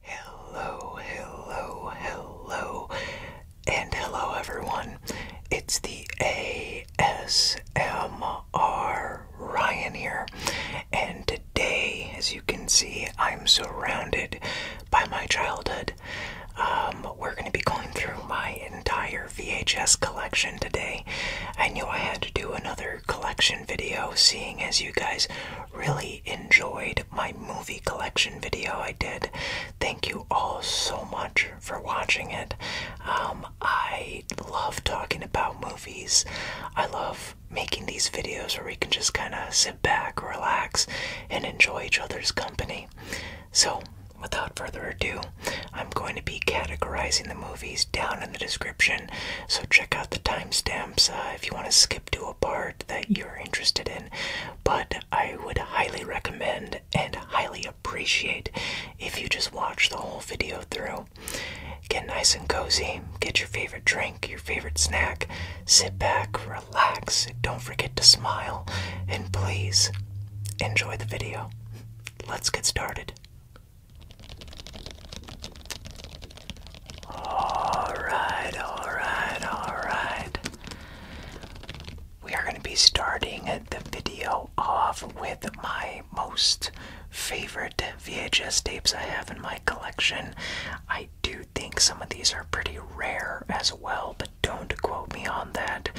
Hello, hello, hello, and hello everyone. It's the ASMR Ryan here, and today, as you can see, I'm surrounded by my childhood. Um, we're going to be going through my entire VHS collection today. I knew I had to do another collection video, seeing as you guys really enjoyed my movie collection video I did. Thank you all so much for watching it. Um, I love talking about movies. I love making these videos where we can just kind of sit back, relax, and enjoy each other's company. So, without further ado, I'm going to be categorizing the movies down in the description. So, check out the timestamps uh, if you want to skip to a part that you're interested in, but I would highly recommend and highly appreciate if you just watch the whole video through. Get nice and cozy, get your favorite drink, your favorite snack, sit back, relax, don't forget to smile, and please enjoy the video. Let's get started. Alright, alright, alright. We are going to be starting the video off with my most favorite VHS tapes I have in my collection. I do think some of these are pretty rare as well, but don't quote me on that.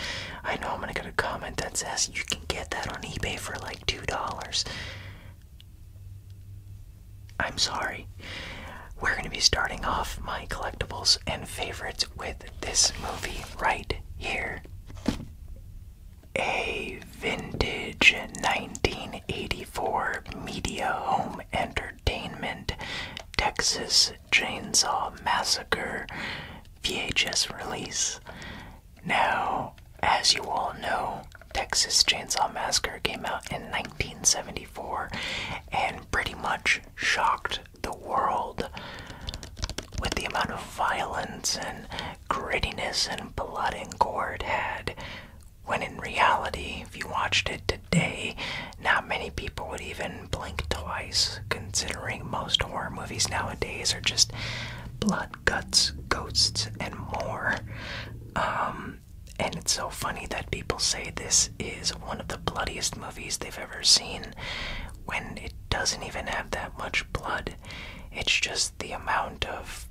I know I'm going to get a comment that says you can get that on eBay for like $2. I'm sorry. We're going to be starting off my collectibles and favorites with this movie right here. A vintage 1984 Media Home Entertainment Texas Chainsaw Massacre VHS release. Now, as you all know, Texas Chainsaw Massacre came out in 1974 and pretty much shocked the world with the amount of violence and grittiness and blood and gore it had. When in reality, if you watched it today, not many people would even blink twice, considering most horror movies nowadays are just blood, guts, ghosts, and more. Um, and it's so funny that people say this is one of the bloodiest movies they've ever seen when it doesn't even have that much blood. It's just the amount of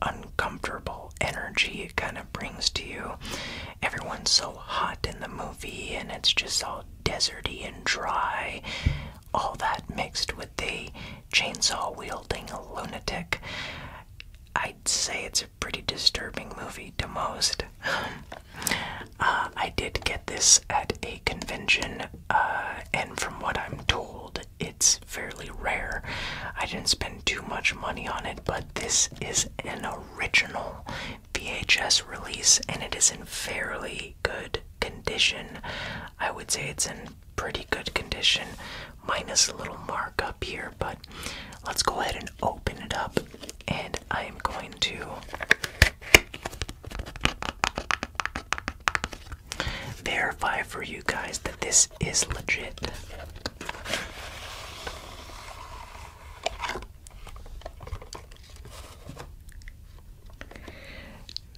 uncomfortable energy it kind of brings to you. Everyone's so hot in the movie, and it's just all deserty and dry. All that mixed with the chainsaw wielding lunatic. I say it's a pretty disturbing movie to most. Um, uh, I did get this at a convention, uh, and from what I'm told, it's fairly rare. I didn't spend too much money on it, but this is an original VHS release, and it is in fairly good condition. I would say it's in pretty good condition minus a little markup here, but let's go ahead and open it up. And I am going to verify for you guys that this is legit.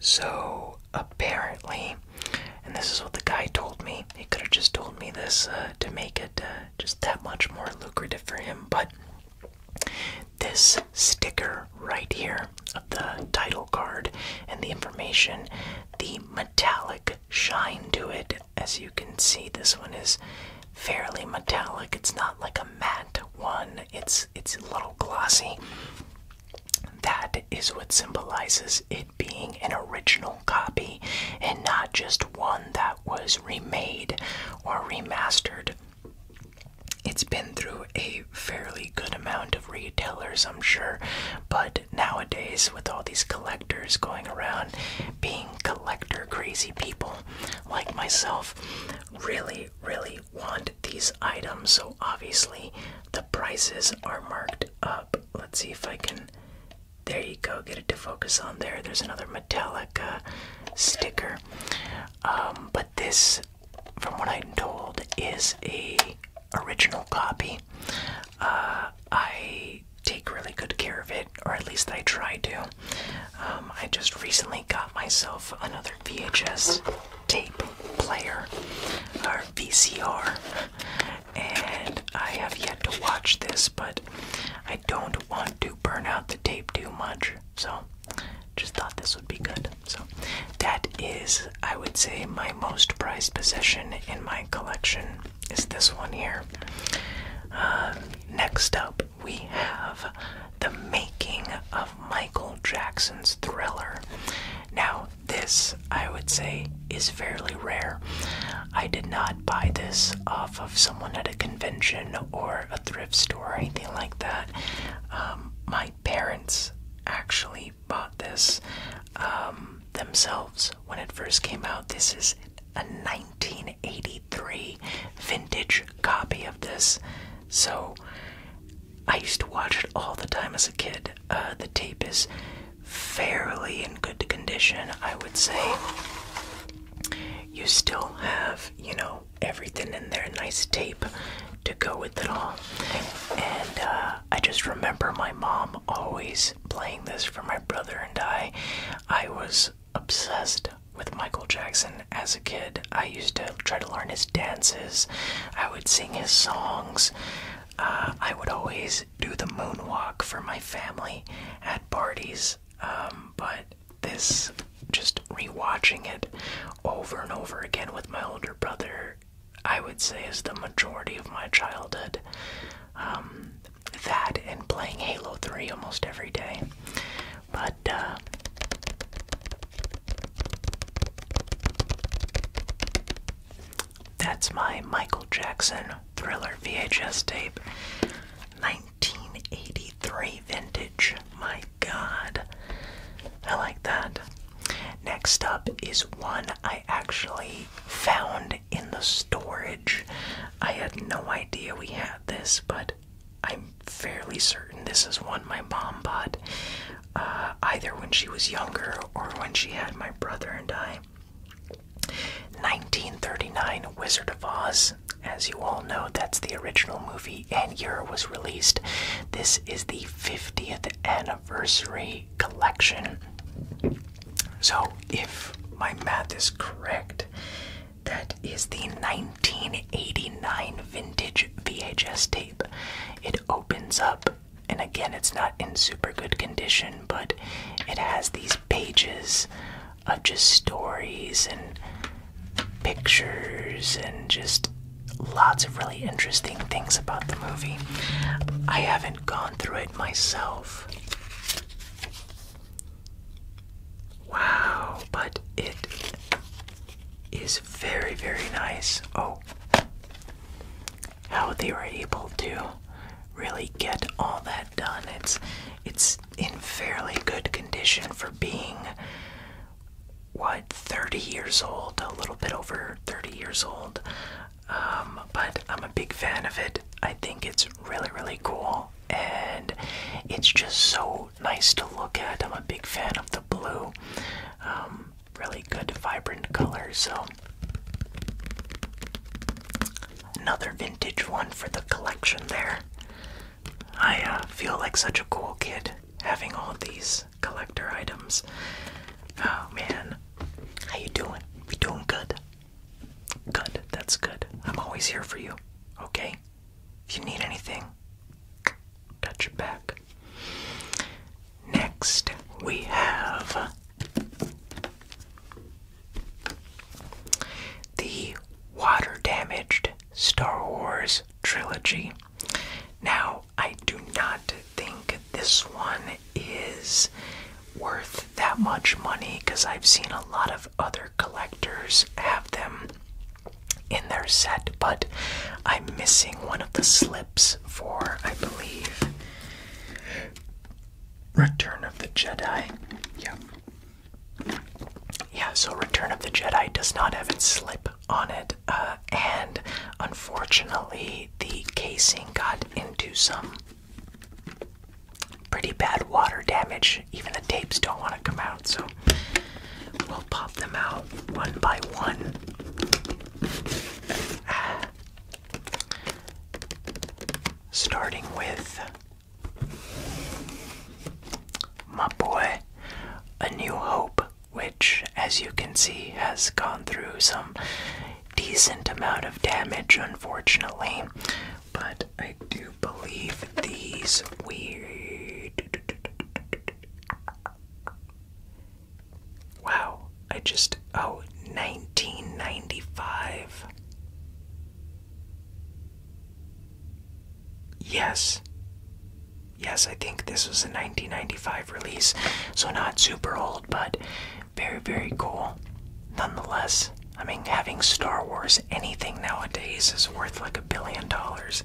So apparently, and this is what the guy told me. He could have just told me this uh, to make it uh, just that much more lucrative for him, but this sticker right here of the title card and the information, the metallic shine to it. As you can see, this one is fairly metallic. It's not like a matte one. It's it's a little glossy. That is what symbolizes it being an original copy and not just one that was remade or remastered. It's been through a fairly good amount of retailers, I'm sure, but nowadays, with all these collectors going around being collector crazy people like myself, really, really want these items, so obviously the prices are marked up. Let's see if I can there you go. Get it to focus on there. There's another Metallica sticker. Um, but this, from what I'm told, is a original copy. Uh, I take really good care of it, or at least I try to. Um, I just recently got myself another VHS tape player, or VCR, and I have yet to watch this, but I don't want to burn out the tape too much, so just thought this would be good. So that is, I would say, my most prized possession in my collection is this one here. Uh, next up, we have the making of Michael Jackson's Thriller. Now, this I would say is fairly rare. I did not buy this off of someone at a convention or a thrift store or anything like that. Um, my parents actually bought this um, themselves when it first came out. This is a 1983 vintage copy of this. So I used to watch it all the time as a kid. Uh, the tape is fairly in good condition, I would say. You still have, you know, everything in there, nice tape to go with it all. And uh, I just remember my mom always playing this for my brother and I. I was obsessed with Michael Jackson as a kid. I used to try to learn his dances, I would sing his songs. Uh, I would always do the moonwalk for my family at parties, um, but this just rewatching it over and over again with my older brother, I would say is the majority of my childhood. Um, that and playing Halo 3 almost every day. But, uh, that's my Michael Jackson Thriller VHS tape. 1983 vintage. My god. I like that. Next up is one I actually found in the storage. I had no idea we had this, but I'm fairly certain this is one my mom bought uh, either when she was younger or when she had my brother and I. 1939 Wizard of Oz. As you all know, that's the original movie and year was released. This is the 50th anniversary collection. So, if my math is correct, that is the 1989 vintage VHS tape. It opens up, and again, it's not in super good condition but it has these pages of just stories and pictures and just lots of really interesting things about the movie. I haven't gone through it myself. Wow, but it is very, very nice. Oh, how they were able to really get all that done. It's it's in fairly good condition for being what 30 years old, a little bit over 30 years old. Um, but I'm a big fan of it. I think it's really really cool and it's just so nice to look at. I'm a big fan of the blue. Um, really good vibrant color so Another vintage one for the collection there. I uh, feel like such a cool kid having all these collector items. Oh man, how you doing? You doing good? Good, that's good. I'm always here for you, okay? If you need anything, got your back. Next, we have the water damaged Star Wars trilogy. Now, I do not think this one is worth that much money because I've seen a lot of other collectors have them in their set, but I'm missing one of the slips for, I believe, Return of the Jedi. Yeah. Yeah, so Return of the Jedi does not have its slip on it, uh, and unfortunately, the casing got into some pretty bad water damage. Even the tapes don't want to come out, so we'll pop them out one by one. Starting with my boy, A New Hope, which, as you can see, has gone through some decent amount of damage, unfortunately. But I do believe these weird. Wow, I just, oh, 1995. Yes. Yes, I think this was a 1995 release. So not super old, but very, very cool. Nonetheless, I mean, having Star Wars anything nowadays is worth like a billion dollars.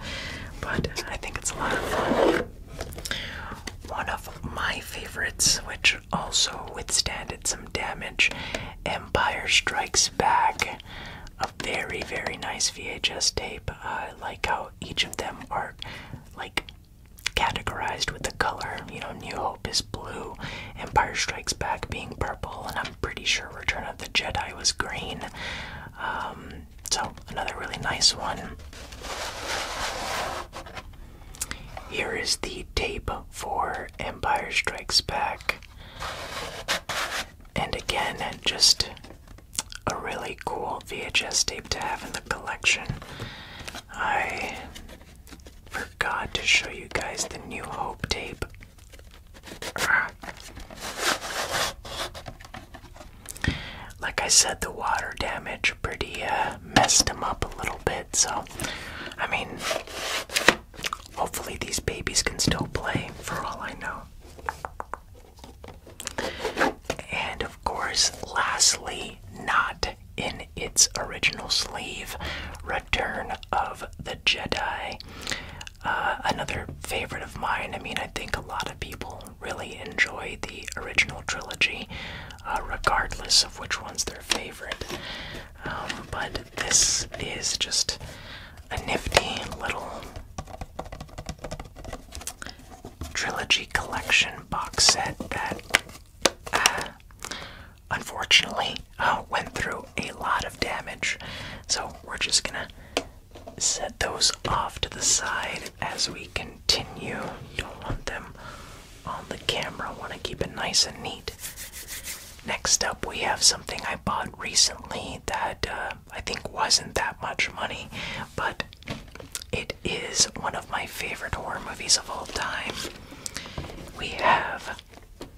But I think it's a lot of fun. One of my favorites, which which also withstanded some damage. Empire Strikes Back. A very, very nice VHS tape. I like how each of them are like categorized with the color. You know, New Hope is blue, Empire Strikes Back being purple, and I'm pretty sure Return of the Jedi was green. Um, so, another really nice one. Here is the tape for Empire Strikes Back. And again, just a really cool VHS tape to have in the collection. I forgot to show you guys the New Hope tape. Like I said, the water damage pretty uh, messed them up a little bit. So, I mean, hopefully these babies can still play, for all I know. And of course, lastly, not in its original sleeve, Return of the Jedi. Uh, another favorite of mine. I mean, I think a lot of people really enjoy the original trilogy, uh, regardless of which one's their favorite. Um, but this is just a nifty little trilogy collection box set that uh, unfortunately uh, went through a lot of damage. So we're just gonna set those off to the side as we continue. Don't want them on the camera. I want to keep it nice and neat. Next up, we have something I bought recently that uh, I think wasn't that much money, but it is one of my favorite horror movies of all time. We have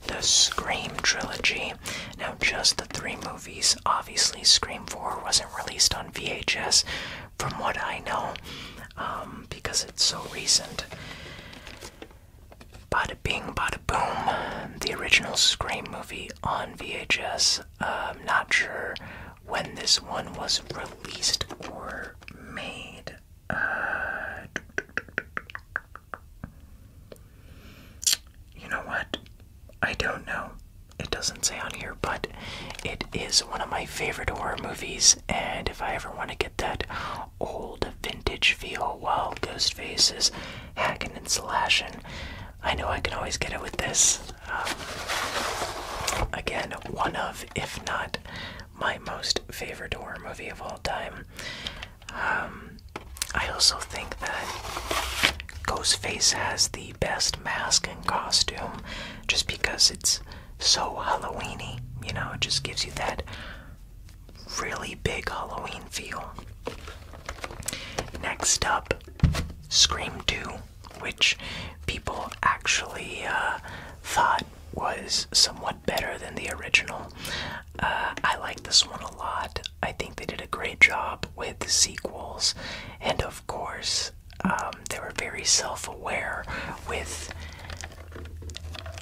the Scream trilogy. Now, just the three movies. Obviously, Scream 4 wasn't released on VHS, from what I know, um, because it's so recent. Bada bing, bada boom. The original Scream movie on VHS. I'm um, not sure when this one was released or made. Uh, you know what? I don't know. It doesn't say on here, but it is one of my favorite horror movies, and if I ever want to get that old old vintage feel while Ghostface is hacking and slashing. I know I can always get it with this. Um, again, one of, if not my most favorite horror movie of all time. Um, I also think that Ghostface has the best mask and costume just because it's so Halloweeny. You know, it just gives you that really big Halloween feel. Next up, Scream 2, which people actually uh, thought was somewhat better than the original. Uh, I like this one a lot. I think they did a great job with the sequels, and of course, um, they were very self aware with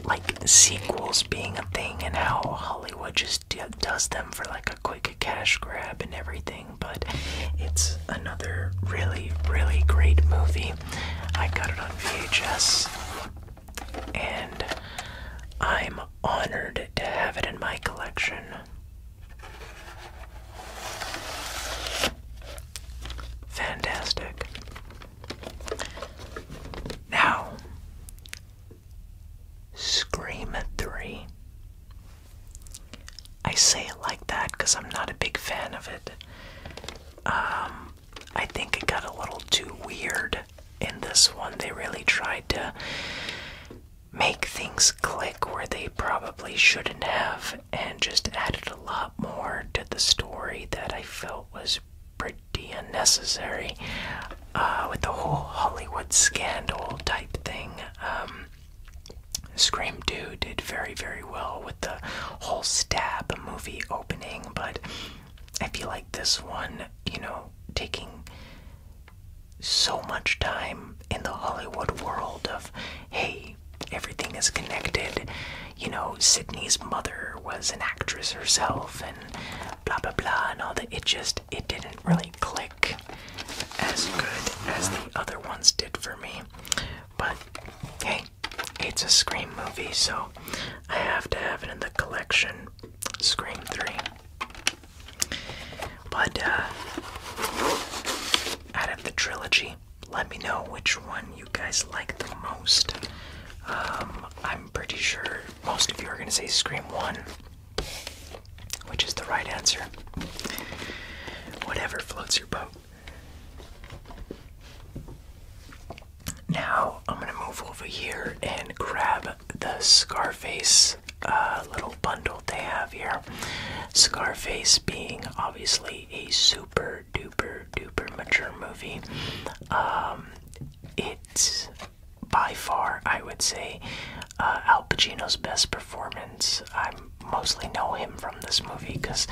like sequels being a thing and how Hollywood just does them for like a quick cash grab and everything, but it's another really, really great movie. I got it on VHS and I'm honored to have it in my collection. Fantastic. Now, Scream 3. I say it like that because I'm not a big fan of it. Um, I think it got a little too weird in this one. They really tried to make things click where they probably shouldn't have and just added a lot more to the story that I felt was pretty pretty unnecessary uh, with the whole Hollywood scandal type thing. Um, Scream 2 did very, very well with the whole stab movie opening, but I feel like this one, you know, taking so much time in the Hollywood world of, hey, everything is connected, you know, Sydney's mother was an actress herself and blah blah blah and all that. It just it didn't really click as good as the other ones did for me. But hey, it's a Scream movie, so I have to have it in the collection. Scream 3. But uh out of the trilogy, let me know which one you guys like the most. Um, I'm pretty sure most of you are going to say Scream 1, which is the right answer. Whatever floats your boat. Now, I'm going to move over here and grab the Scarface uh, little bundle they have here. Scarface being obviously a super duper Super duper mature movie. Um, it's by far, I would say, uh, Al Pacino's best performance. I mostly know him from this movie because,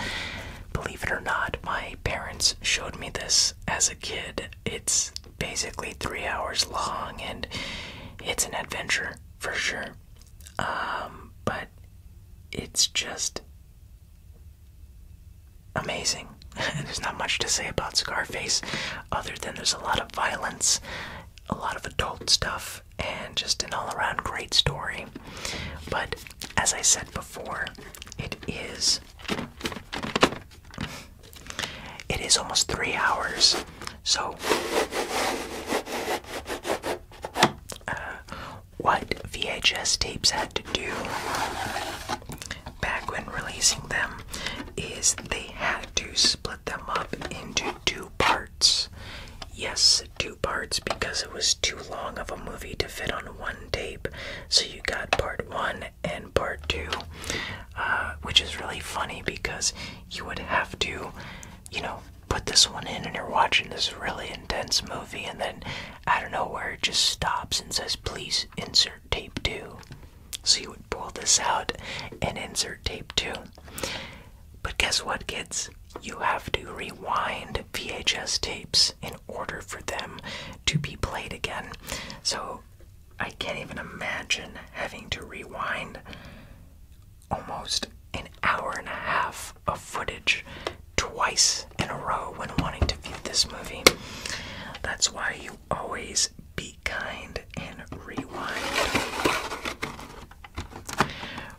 believe it or not, my parents showed me this as a kid. It's basically three hours long and it's an adventure for sure. Um, but it's just amazing. there's not much to say about Scarface other than there's a lot of violence, a lot of adult stuff, and just an all around great story. But as I said before, it is. It is almost three hours, so uh, what VHS tapes had to do back when releasing them is they had to split them up into two parts. Yes, two parts because it was too long of a movie to fit on one tape. So you got part one and part two, uh, which is really funny because you would have to, you know, put this one in and you're watching this really intense movie and then I don't know where it just stops and says, please insert tape 2. So you would pull this out and insert tape 2. But guess what, kids? You have to rewind VHS tapes in order for them to be played again. So I can't even imagine having to rewind almost an hour and a half of footage twice in a row when wanting to view this movie. That's why you always be kind and rewind.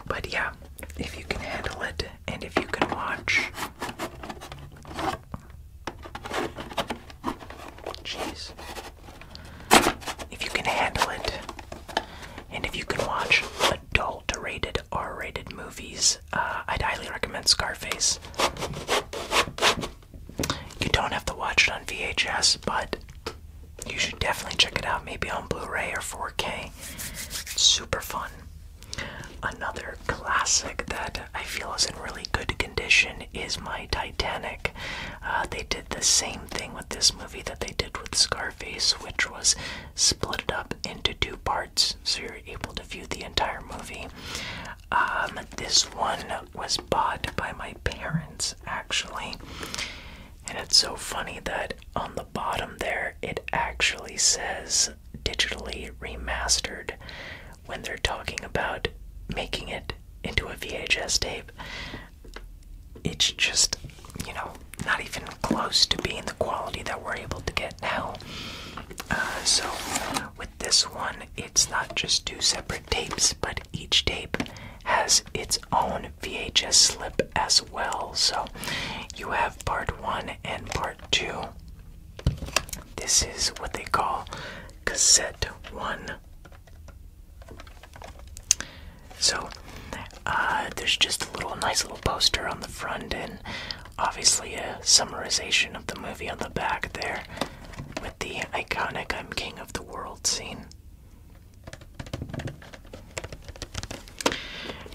But yeah, if you can handle it and if you can watch. Jeez. If you can handle it and if you can watch adult rated R rated movies uh, I'd highly recommend Scarface. You don't have to watch it on VHS, but you should definitely check it out, maybe on Blu ray or 4K. super fun. Another classic that I feel is in really good condition is my Titanic. Uh, they did the same thing with this movie that they did with Scarface, which was split it up into two parts so you're able to view the entire movie. Um, this one was bought by my parents actually, and it's so funny that on the bottom there it actually says digitally remastered when they're talking about making it into a VHS tape. It's just, you know, not even close to being the quality that we're able to get now. Uh, so with this one, it's not just two separate tapes, but each tape has its own VHS slip as well. So you have part one and part two. This is what they call cassette one. So uh, there's just a little nice little poster on the front, and Obviously, a summarization of the movie on the back there with the iconic I'm King of the World scene.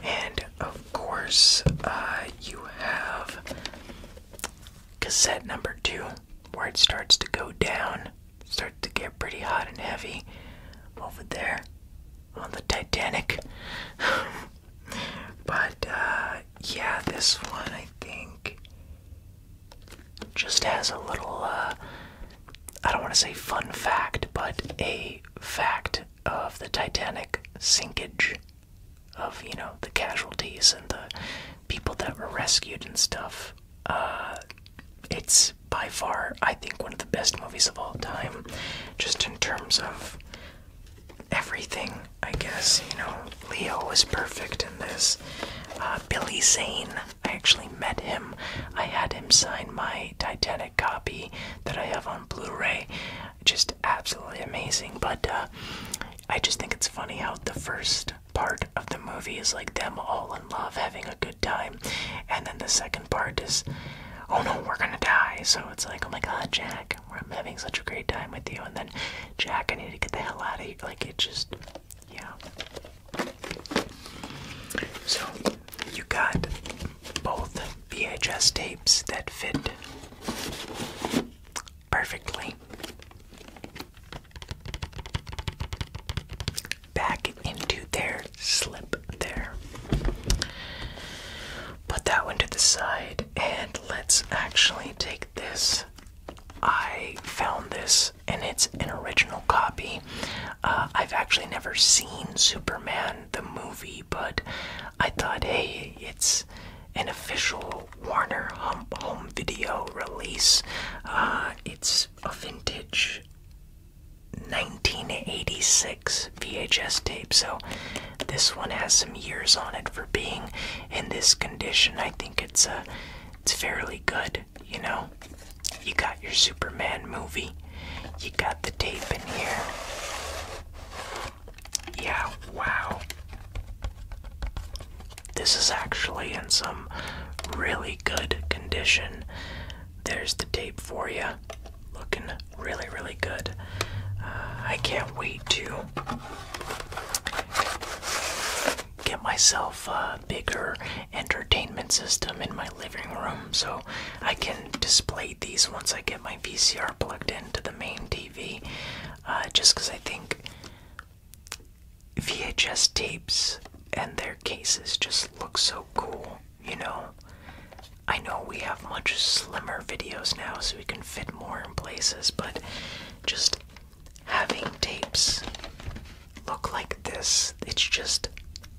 And of course, uh, you have cassette number two, where it starts to go down, starts to get pretty hot and heavy over there on the Titanic. But uh, yeah, this one I think just has a little, uh, I don't want to say fun fact, but a fact of the Titanic sinkage of, you know, the casualties and the people that were rescued and stuff. Uh, it's by far, I think, one of the best movies of all time, just in terms of everything, I guess. You know, Leo was perfect in this. Uh, Billy Zane, I actually met him. I had him sign my Titanic copy that I have on Blu ray. Just absolutely amazing. But uh, I just think it's funny how the first part of the movie is like them all in love, having a good time. And then the second part is, oh no, we're gonna die. So it's like, oh my god, Jack, where I'm having such a great time with you, and then Jack, I need to get the hell out of here. Like it just, yeah. So you got both VHS tapes that fit perfectly back into their slip there. Put that one to the side and let's actually take this. I found this and it's an original copy. Uh, I've actually never seen Superman the movie, but I thought, hey, it's an official Warner home video release. Uh, it's a vintage 1986 VHS tape, so this one has some years on it for being in this condition. I think it's a, uh, it's fairly good. You know, you got your Superman movie, you got the tape in here. Yeah, wow. This is actually in some really good condition. There's the tape for you. Looking really, really good. Uh, I can't wait to get myself a bigger entertainment system in my living room so I can display these once I get my VCR plugged into the main TV. Uh, just 'cause I think VHS tapes and their cases just look so cool, you know? I know we have much slimmer videos now so we can fit more in places, but just having tapes look like this it's just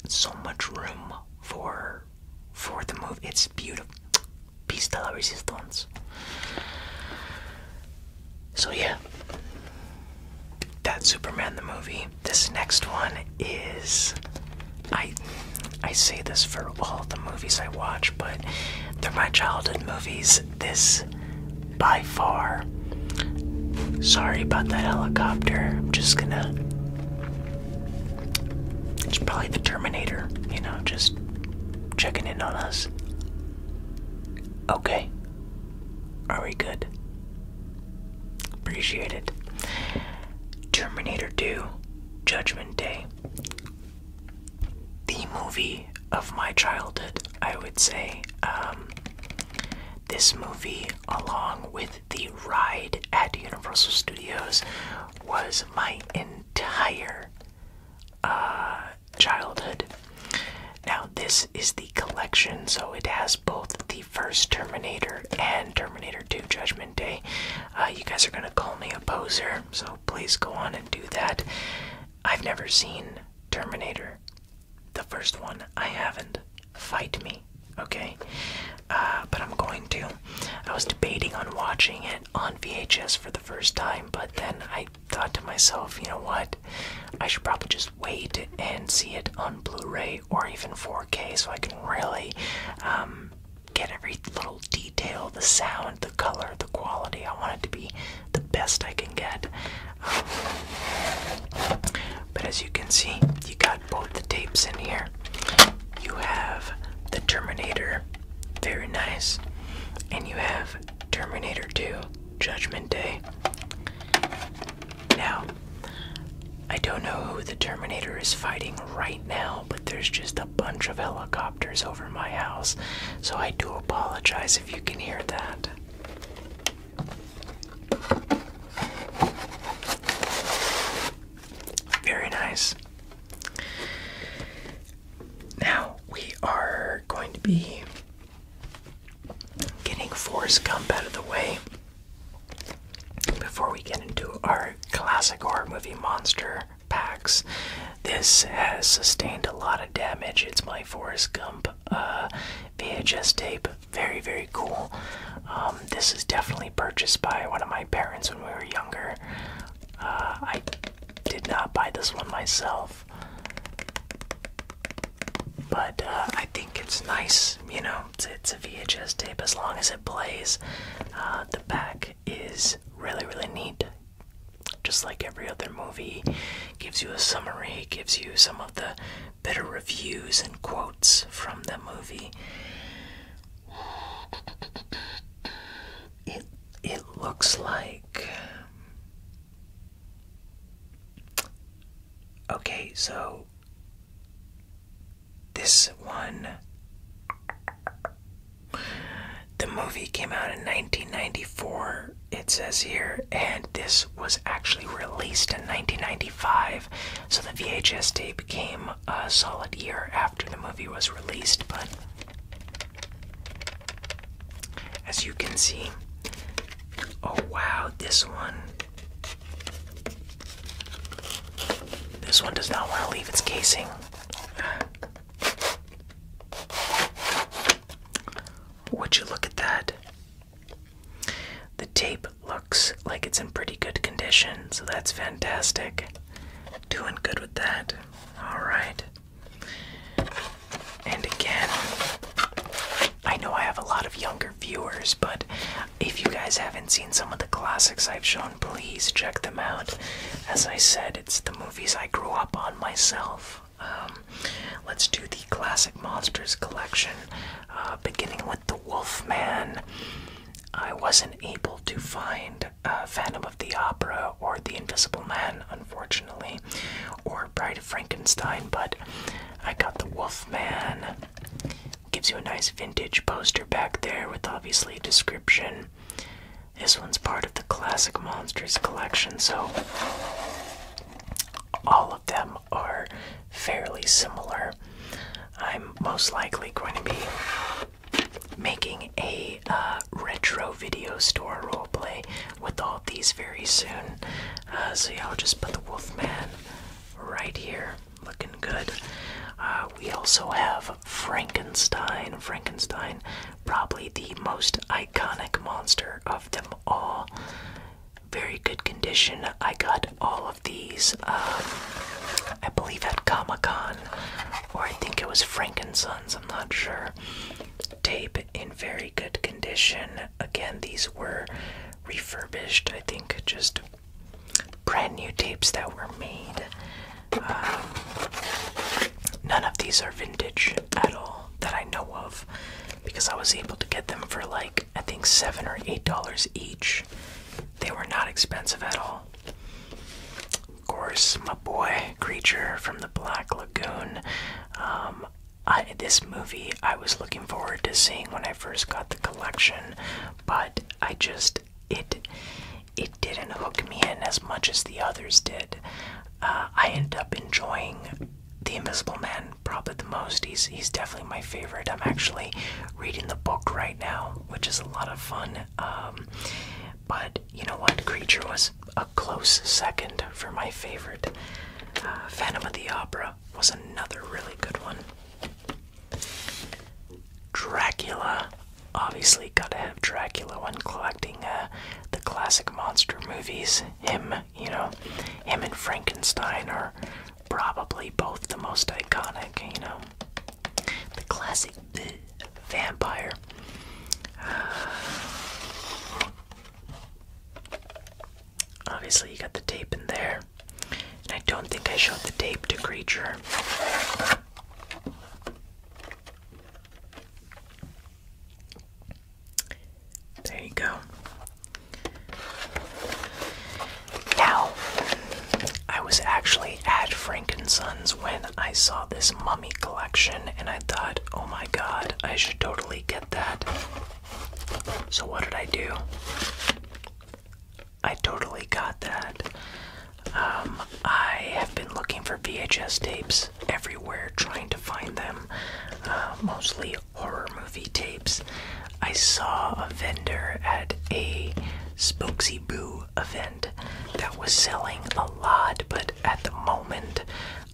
so much room for for the move it's beautiful pista la resistance so yeah that superman the movie this next one is i i say this for all the movies I watch, but they're my childhood movies. This, by far. Sorry about that helicopter. I'm just gonna. It's probably the Terminator, you know, just checking in on us. Okay. Are we good? Appreciate it. Terminator 2, Judgment Day the movie of my childhood, I would say. Um, this movie, along with the ride at Universal Studios, was my entire uh, childhood. Now, this is the collection, so it has both the first Terminator and Terminator 2 Judgment Day. Uh, you guys are gonna call me a poser, so please go on and do that. I've never seen Terminator, the first one. I haven't. Fight me, okay? Uh, but I'm going to. I was debating on watching it on VHS for the first time, but then I thought to myself, you know what? I should probably just wait and see it on Blu ray or even 4K so I can really um, get every little detail the sound, the color, quality. I want it to be the best I can get. but as you can see, you got both the tapes in here. You have the Terminator, very nice, and you have Terminator 2 Judgment Day. Now, I don't know who the Terminator is fighting right now, but there's just a a bunch of helicopters over my house, so I do apologize if you can hear that. Very nice. Now we are going to be getting Forrest Gump out of the way before we get into our classic horror movie monster packs. This has sustained a lot of damage. It's my Forrest Gump uh, VHS tape. Very, very cool. Um, this is definitely purchased by one of my parents when we were younger. Uh, I did not buy this one myself. But uh, I think it's nice, you know, it's, a VHS tape as long as it plays. the back is really, really neat. Just like every other movie, gives you a summary, gives you some of the better reviews and quotes from the movie. It it looks like Okay, so this one the movie came out in 1994, it says here, and this was actually released in 1995. So the VHS tape came a solid year after the movie was released, but as you can see, oh wow, this one. This one does not want to leave its casing. Would you look at that? The tape looks like it's in pretty good condition, so that's fantastic. Doing good with that. All right. And again, I know I have a lot of younger viewers, but if you guys haven't seen some of the classics I've shown, please check them out. As I said, it's the movies I grew up on myself. Um, let's do the classic monsters collection, uh, beginning with the Wolf Man, I wasn't able to find uh, Phantom of the Opera or The Invisible Man, unfortunately, or Bride of Frankenstein, but I got the Wolf Man. Gives you a nice vintage poster back there with obviously a description. This one's part of the Classic Monsters collection, so all of them are fairly similar. I'm most likely going to be making a uh, retro video store play with all of these very soon. Uh, so, yeah, I'll just put the Wolfman right here, looking good. Uh, we also have Frankenstein. Frankenstein Probably the most iconic monster of them all. Very good condition. I got all of these, um, I believe, at Comic Con, or I think it was Frankensons, I'm not sure. Tape in very good condition. Again, these were refurbished, I think, just brand new tapes that were made. Uh, none of these are vintage at all that I know of because I was able to get them for like I think seven or eight dollars each. They were not expensive at all. Of course, my boy Creature from the Black Lagoon. Um, this movie I was looking forward to seeing when I first got the collection, but I just it it didn't hook me in as much as the others did. Uh, I end up enjoying The Invisible Man probably the most. He's, he's definitely my favorite. I'm actually reading the book right now, which is a lot of fun. Um, but you know what? Creature was a close second for my favorite. Uh, Phantom of the Opera was another really good one. Dracula obviously gotta have Dracula when collecting uh, the classic monster movies. Him, you know, him and Frankenstein are probably both the most iconic, you know. The classic vampire. obviously, you got the tape in there. And I don't think I showed the tape to Creature. There you go. Now, I was actually at Frankinson's when I saw this mummy collection, and I thought, oh my god, I should totally get that. So, what did I do? I totally got that. Um, I have been looking for VHS tapes everywhere trying to find them, uh, mostly horror movie tapes. I saw a vendor at a Spooky Boo event that was selling a lot, but at the moment,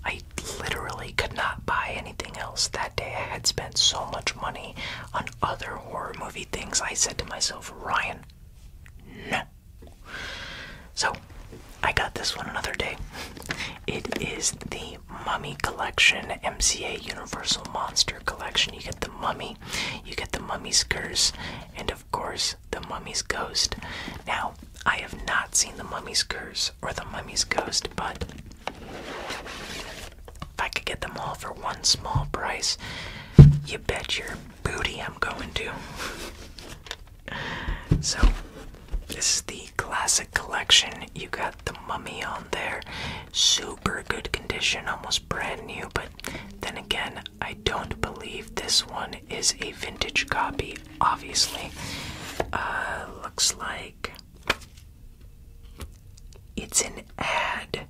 I literally could not buy anything else that day. I had spent so much money on other horror movie things. I said to myself, Ryan, no, so, I got this one another day. It is the Mummy Collection, MCA Universal Monster Collection. You get the Mummy, you get the Mummy's Curse, and of course, the Mummy's Ghost. Now, I have not seen the Mummy's Curse or the Mummy's Ghost, but if I could get them all for one small price, you bet your booty I'm going to. So, this is the classic collection. You got the mummy on there. Super good condition, almost brand new, but then again, I don't believe this one is a vintage copy, obviously. Uh, looks like it's an ad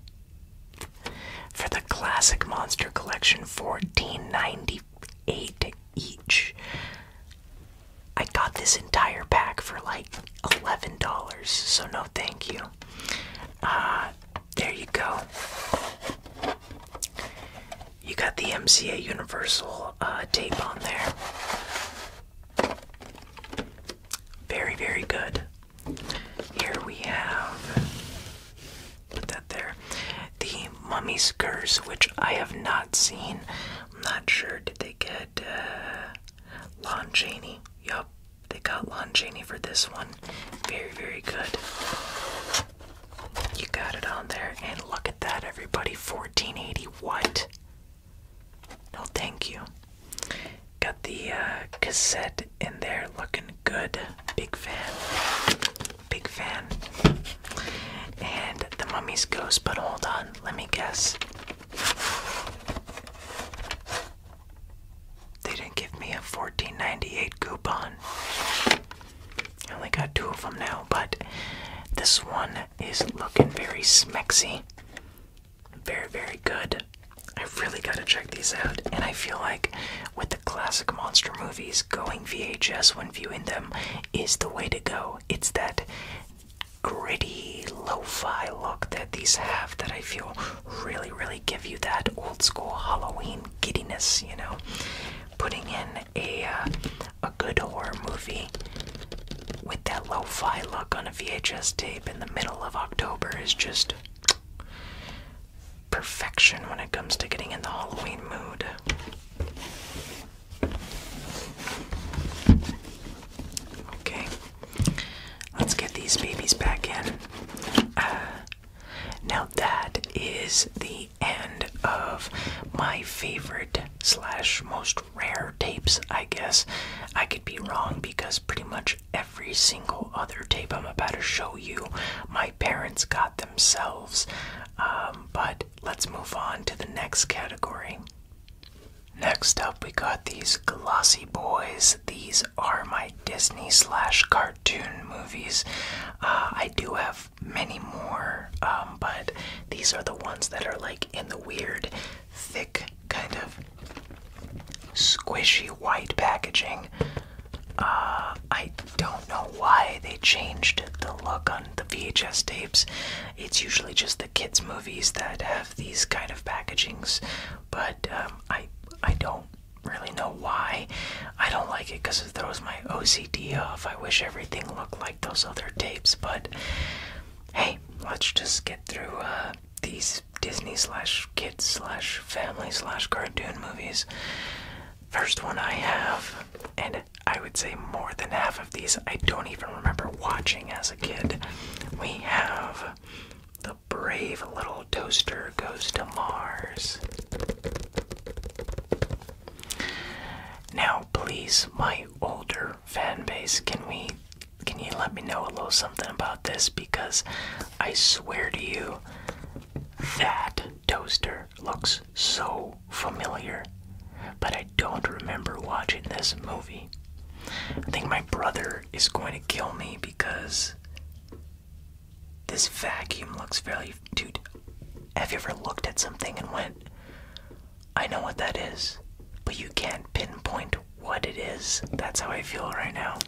for the classic monster collection 1490 Eight each. I got this entire pack for like $11, so no thank you. Uh, there you go. You got the MCA Universal uh, tape on there. Very, very good. Here we have Put that there. The mummy Curse, which I have not seen. I'm not sure. Did they get uh, Lon Chaney? Yup, they got Lon Chaney for this one. Very, very good. You got it on there. And look at that, everybody. 1480 what? No, thank you. Got the uh, cassette in there looking good. Big fan. Big fan. And the mummy's ghost, but hold on, let me guess. They didn't give me a fourteen ninety eight coupon. I only got two of them now, but this one is looking very smexy. Very, very good. I really gotta check these out, and I feel like with the classic monster movies, going VHS when viewing them is the way to go. It's that gritty, lo fi look that these have that I feel really, really give you that old school Halloween giddiness, you know? Putting in a, uh, a good horror movie with that lo fi look on a VHS tape in the middle of October is just perfection when it comes to getting in the Halloween mood. Okay, let's get these babies back in. Uh, now that is the end of my favorite slash most rare tapes, I guess. I could be wrong because pretty much every single other tape I'm about to show you, my parents got themselves. Um, but let's move on to the next category. Next up, we got these glossy boys. These are my Disney slash cartoon movies. Uh, I do have many more, um, but these are the ones that are like in the weird, thick, kind of squishy white packaging. Uh, I don't know why they changed the look on the VHS tapes. It's usually just the kids' movies that have these kind of packagings, but um, I I don't really know why. I don't like it because it throws my OCD off. I wish everything looked like those other tapes, but hey, let's just get through uh, these Disney slash kids slash family slash cartoon movies. First one I have, and I would say more than half of these I don't even remember watching as a kid. We have The Brave Little Toaster Goes to Mars. Now, please, my older fan base, can we can you let me know a little something about this because I swear to you that Toaster looks so familiar, but I don't remember watching this movie. I think my brother is going to kill me because this vacuum looks very. Dude, have you ever looked at something and went, I know what that is, but you can't pinpoint what it is? That's how I feel right now.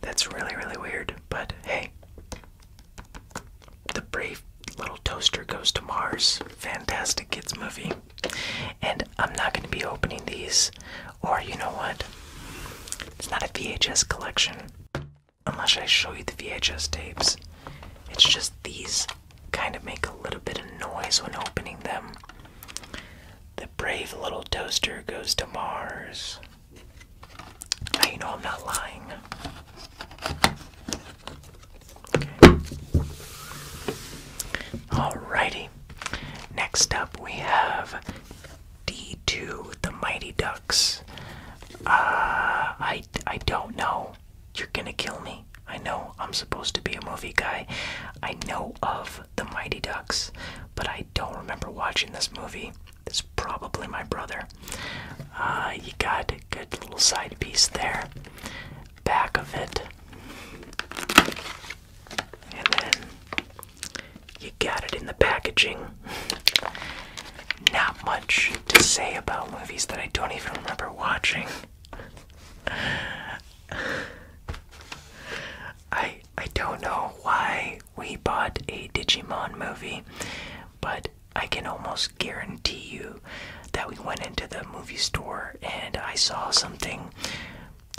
That's really, really weird, but hey, the Brave Little Toaster Goes to Mars. Fantastic kids movie. And I'm not going to be opening these, or you know what? It's not a VHS collection. Unless I show you the VHS tapes. It's just these kind of make a little bit of noise when opening them. The Brave Little Toaster Goes to Mars. Now know I'm not lying. Alrighty. Next up we have D2, the Mighty Ducks. Uh, I, I don't know. You're gonna kill me. I know I'm supposed to be a movie guy. I know of the Mighty Ducks, but I don't remember watching this movie. It's probably my brother. you uh, got a good little side piece there, back of it, and then you got it in the packaging. Not much to say about movies that I don't even remember watching. I I don't know why we bought a Digimon movie, but I can almost guarantee you that we went into the movie store and I saw something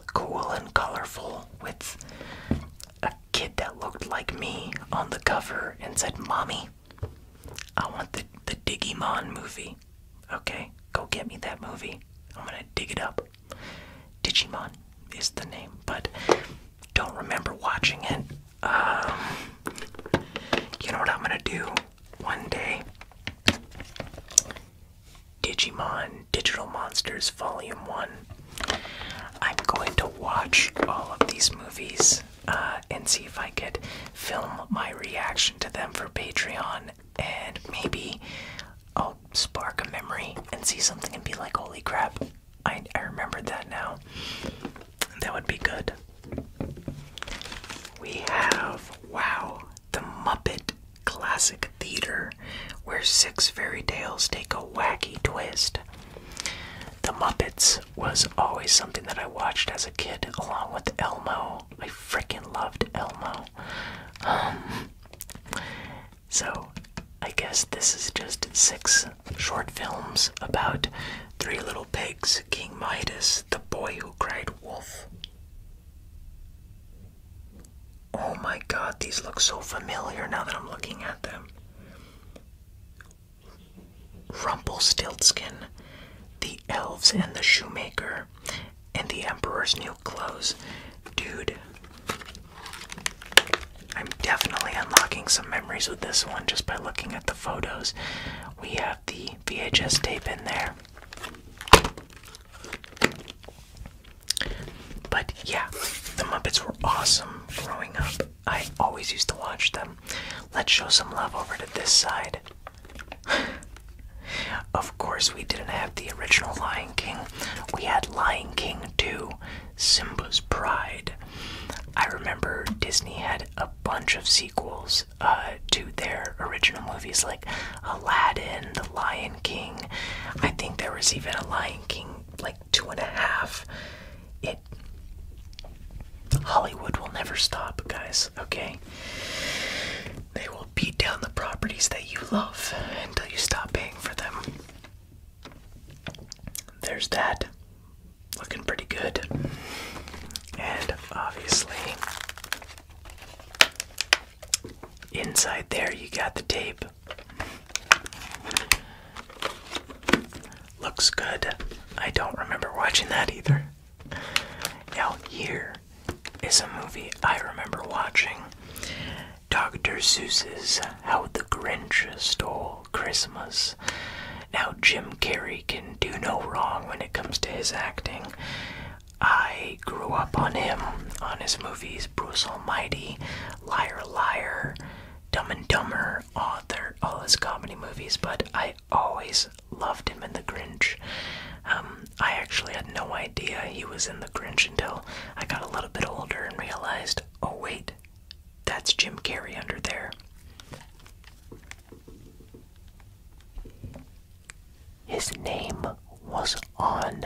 cool and colorful with a kid that looked like me on the cover and said, Mommy, I want the, the Digimon movie. Okay, go get me that movie. I'm gonna dig it up. Digimon is the name, but don't remember watching it. Um, you know what I'm gonna do one day? Digimon Digital Monsters Volume 1. I'm going to watch all of these movies uh, and see if I could film my reaction to them for Patreon, and maybe I'll spark a memory and see something and be like, holy crap, I, I remembered that now. That would be good. We have, wow, the Muppet Classic Theater, where six fairy tales take a wacky twist. The Muppets was always something that I watched as a kid, along with Elmo. I freaking loved Elmo. Um, so, I guess this is just six short films about Three Little Pigs, King Midas, The Boy Who Cried Wolf. Oh my god, these look so familiar now that I'm looking at them. Rumpelstiltskin, The Elves and the Shoemaker, and The Emperor's New Clothes. Dude, I'm definitely unlocking some memories with this one just by looking at the photos. We have the VHS tape in there. But yeah, the Muppets were awesome growing up. I always used to watch them. Let's show some love over to this side. of course, we didn't have the original Lion King. We had Lion King 2, Simba's Pride. I remember Disney had a bunch of sequels uh, to their original movies, like Aladdin, The Lion King. I think there was even a Lion King, like two and a half. It Hollywood will never stop, guys. Okay, they will beat down the properties that you love until you stop paying for them. There's that looking pretty good. And obviously, inside there, you got the tape. Looks good. I don't remember watching that either. Now, here is a movie I remember watching Dr. Seuss's How the Grinch Stole Christmas. Now, Jim Carrey can do no wrong when it comes to his acting. I grew up on him, on his movies Bruce Almighty, Liar Liar, Dumb and Dumber, all, their, all his comedy movies, but I always loved him in The Grinch. Um, I actually had no idea he was in The Grinch until I got a little bit older and realized, oh wait, that's Jim Carrey under there. His name was on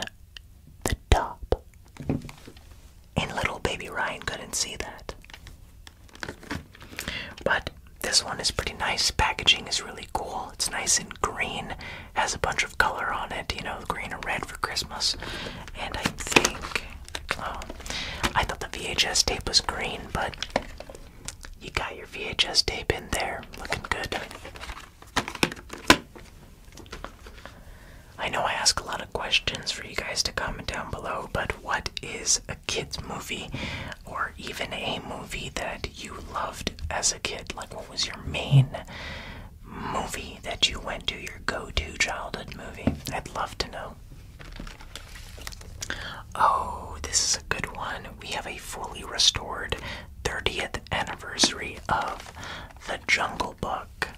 the top. And little baby Ryan couldn't see that. But this one is pretty nice. Packaging is really cool. It's nice and green. Has a bunch of color on it, you know, green and red for Christmas. And I think Oh, I thought the VHS tape was green, but you got your VHS tape in there, looking good. I know I ask a lot of questions for you guys to comment down below, but what is a kid's movie or even a movie that you loved as a kid? Like, what was your main movie that you went to, your go to childhood movie? I'd love to know. Oh, this is a good one. We have a fully restored 30th anniversary of The Jungle Book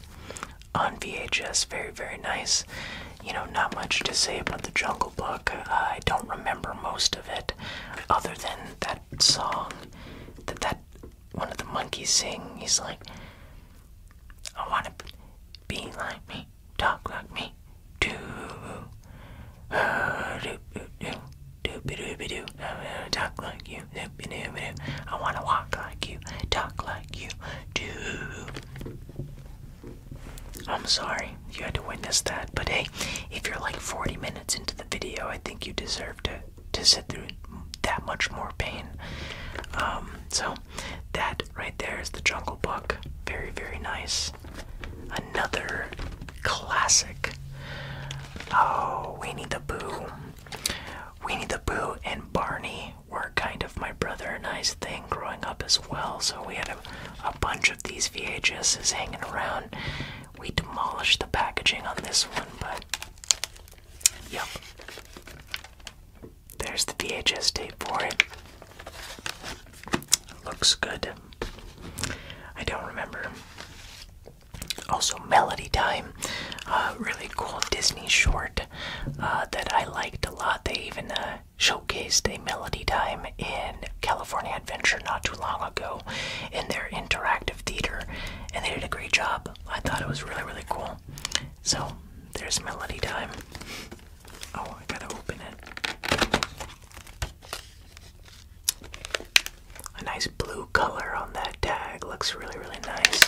on VHS. Very, very nice. You know, not much to say about The Jungle Book. I don't remember most of it other than that song that that one of the monkeys sing. He's like, I want to be like me talk like me too. Uh, do, do, do. Do-be-doo-be-doo, uh, talk like you, do-be-doo-be-doo. I wanna walk like you, talk like you, do. I'm sorry you had to witness that, but hey, if you're like 40 minutes into the video, I think you deserve to to sit through that much more pain. Um, so that right there is the Jungle Book. Very, very nice. Another classic. Oh, Weenie the Boo. Weenie the Boo and Barney were kind of my brother and I's thing growing up as well. So we had a, a bunch of these VHSs hanging around. We demolished the packaging on this one, but yep. There's the VHS tape for it. Looks good. I don't remember. Also, Melody Time, uh, really cool Disney short uh, that I liked a lot. They even uh, showcased a Melody Time in California Adventure not too long ago in their interactive theater, and they did a great job. I thought it was really, really cool. So, there's Melody Time. Oh, I gotta open it. A nice blue color on that tag looks really, really nice.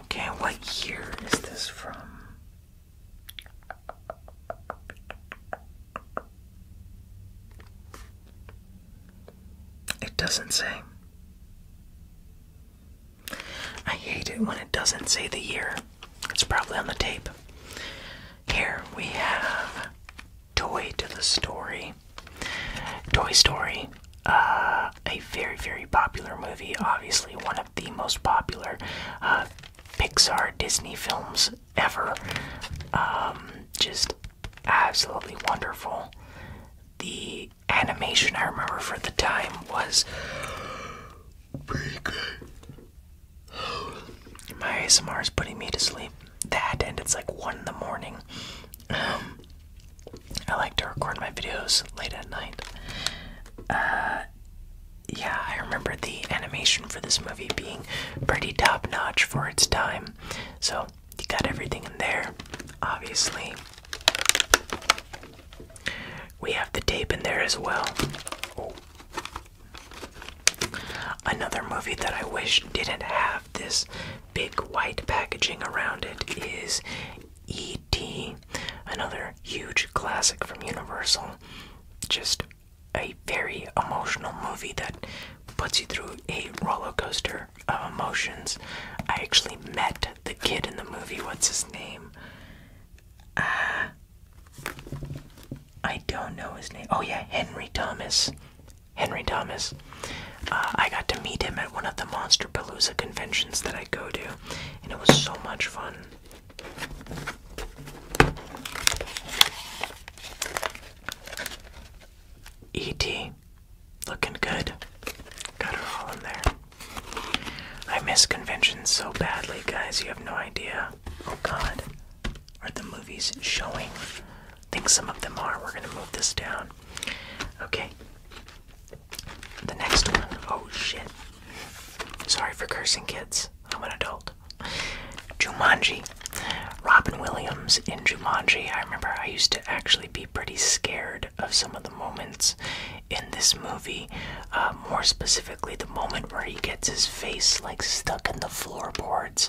Okay, what year is this from? It doesn't say. I hate it when it doesn't say the year. It's probably on the tape. Here we have Toy to the Story. Toy Story, uh, a very, very popular movie. Obviously, one of the most popular uh, Pixar Disney films ever. Um, just absolutely wonderful. The animation I remember for the time was pretty good. My ASMR is putting me to sleep. That and it's like one in the morning. Um, I like to record my videos late at night. Uh, yeah, I remember the animation for this movie being pretty top notch for its time. So you got everything in there, obviously. We have the tape in there as well. Oh. Another movie that I wish didn't have this big white packaging around it is E.T., another huge classic from Universal. Just a very emotional movie that puts you through a roller coaster of emotions. I actually met the kid in the movie. What's his name? Uh, I don't know his name. Oh yeah, Henry Thomas. Henry Thomas. Uh, I got to meet him at one of the Monster Palooza conventions that I go to, and it was so much fun. E.T. Looking good. Got her all in there. I miss conventions so badly, guys. You have no idea. Oh god. Are the movies showing? I think some of them are. We're gonna move this down. Okay. The next one. Oh shit. Sorry for cursing kids. I'm an adult. Jumanji. Robin Williams in Jumanji. I remember I used to actually be pretty scared of some of the moments in this movie. Uh, more specifically, the moment where he gets his face like stuck in the floorboards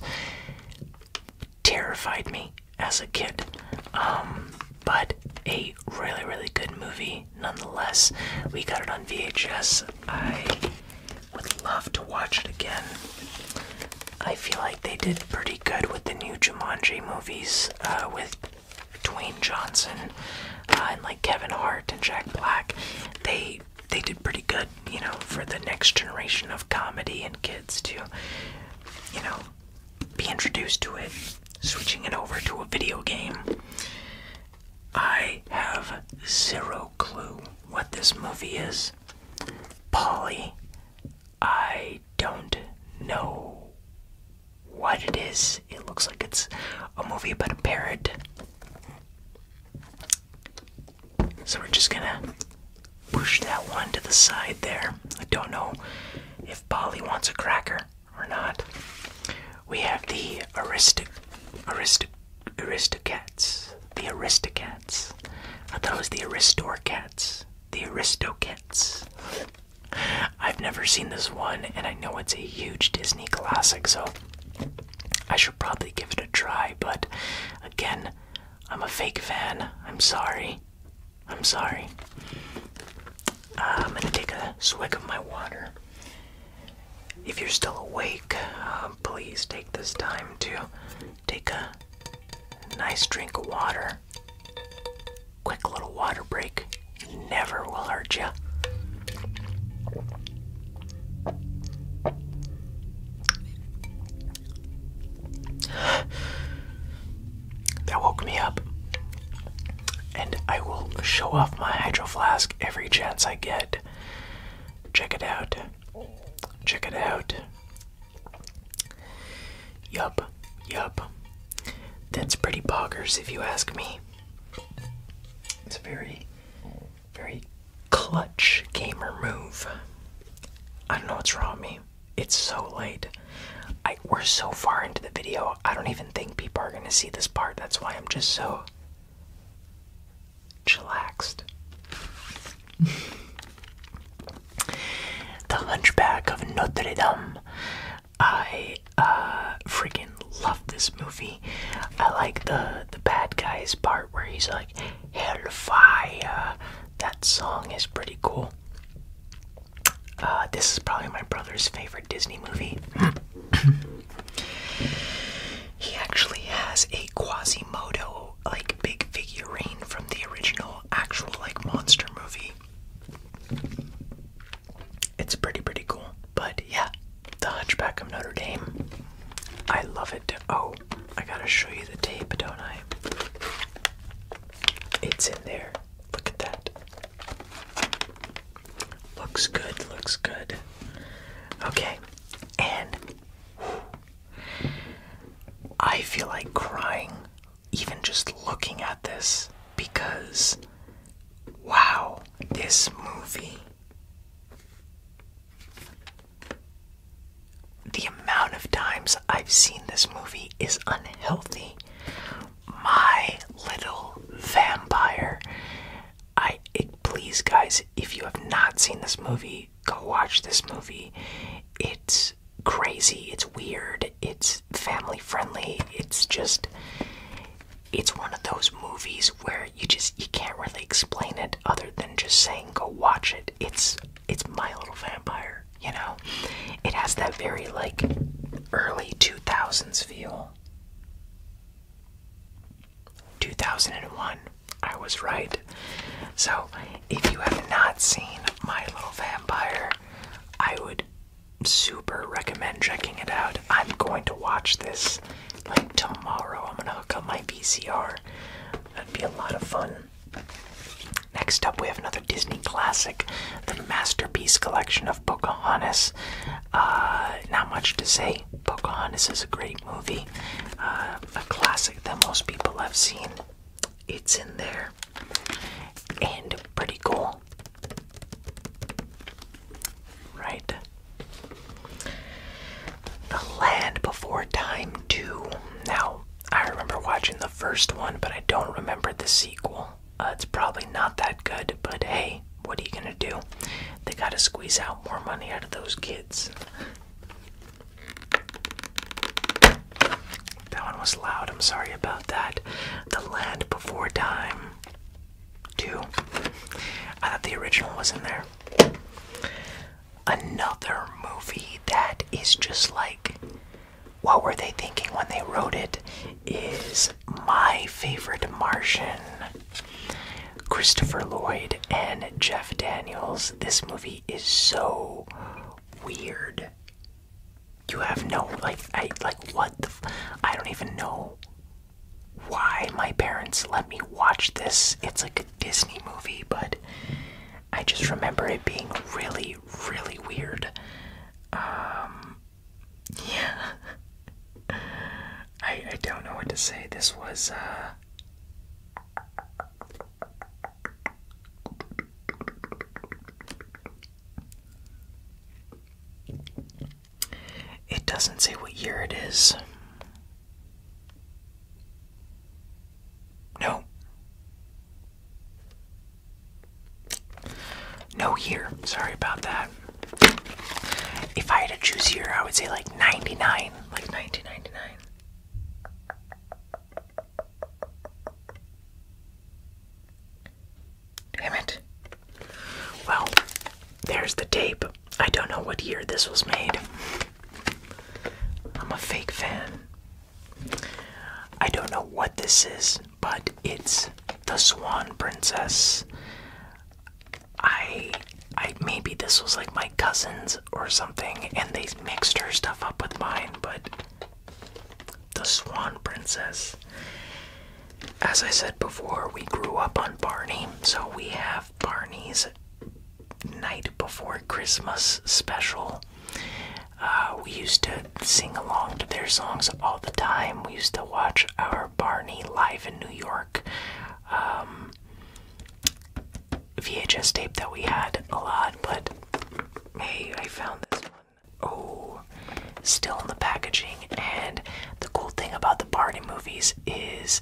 terrified me as a kid. Um, but a really, really good movie nonetheless. We got it on VHS. I would love to watch it again. I feel like they did pretty good with the new Jumanji movies, uh, with Dwayne Johnson uh, and like Kevin Hart and Jack Black, they they did pretty good, you know, for the next generation of comedy and kids to, you know, be introduced to it. Switching it over to a video game. I have zero clue what this movie is. Polly, I don't know what it is. It looks like it's a movie about a parrot so we're just gonna push that one to the side there. I don't know if Polly wants a cracker or not. We have the Aristoc Aristoc Aristocats. The Aristocats. I thought it was the Aristorcats. The Aristocats. I've never seen this one, and I know it's a huge Disney classic, so I should probably give it a try, but again, I'm a fake fan. I'm sorry. I'm sorry. Uh, I'm gonna take a swig of my water. If you're still awake, uh, please take this time to take a nice drink of water. Quick little water break never will hurt you. That woke me up. And I will show off my hydro flask every chance I get. Check it out. Check it out. Yup, yup. That's pretty boggers if you ask me. It's very very clutch gamer move. I don't know what's wrong with me. It's so late. I we're so far into the video. I don't even think people are gonna see this part. That's why I'm just so chillaxed. the Hunchback of Notre Dame. I uh, freaking love this movie. I like the the bad guys part where he's like Hellfire. That song is pretty cool. Uh, this is probably my brother's favorite Disney movie. he actually has a Quasimodo like big figurine from the original actual like monster movie. It's pretty pretty cool, but yeah, The Hunchback of Notre Dame. I love it. Oh, I gotta show you the tape, don't I? It's in there. Look at that. Looks good, looks good. Okay, and I feel like crying even just looking at this because wow, this movie the amount of times I've seen this movie is unhealthy. My Little Vampire. I please guys, if you have not seen this movie, go watch this movie. It's crazy, it's weird, it's family friendly. It's just it's one of those movies where you just you can't really explain it other than just saying go watch it. It's it's My Little Vampire, you know. It has that very like early 2000s feel. 2001. I was right. So, if you have not seen My Little Vampire, I would super recommend checking it out. I'm going to watch this like tomorrow. I'm gonna hook up my VCR. That'd be a lot of fun. Next up, we have another Disney classic, the Masterpiece Collection of Pocahontas. Uh, not much to say. Pocahontas is a great movie, uh, a classic that most people have seen. It's in there and pretty cool. Right? The Land Before Time 2. Now, I remember watching the first one, but I don't remember the sequel. Uh, it's probably not that good, but hey, what are you gonna do? They gotta squeeze out more money out of those kids. That one was loud, I'm sorry about that. The Land Before Time. 2. I thought the original was in there. Another movie that is just like, what were they thinking when they wrote it? Is My Favorite Martian. Christopher Lloyd and Jeff Daniels. This movie is so weird. You have no like I like what the f I don't even know why my parents let me watch this. It's like a Disney movie, but I just remember it being really, really weird. Um, yeah. I, I don't know what to say. This was, uh, it doesn't say what year it is. No. No year. Sorry about that. If I had to choose year, I would say like 99, like 1999. Damn it. Well, there's the tape. I don't know what year this was made. I'm a fake fan. I don't know what this is, but it's The Swan Princess. I I maybe this was like my cousin's or something and they mixed her stuff up with mine, but The Swan Princess as I said before, we grew up on Barney, so we have Barney's Night Before Christmas special. Uh, we used to sing along to their songs all the time. We used to watch our Barney live in New York um, VHS tape that we had a lot, but hey, I found this one. Oh, still in the packaging. And the cool thing about the Barney movies is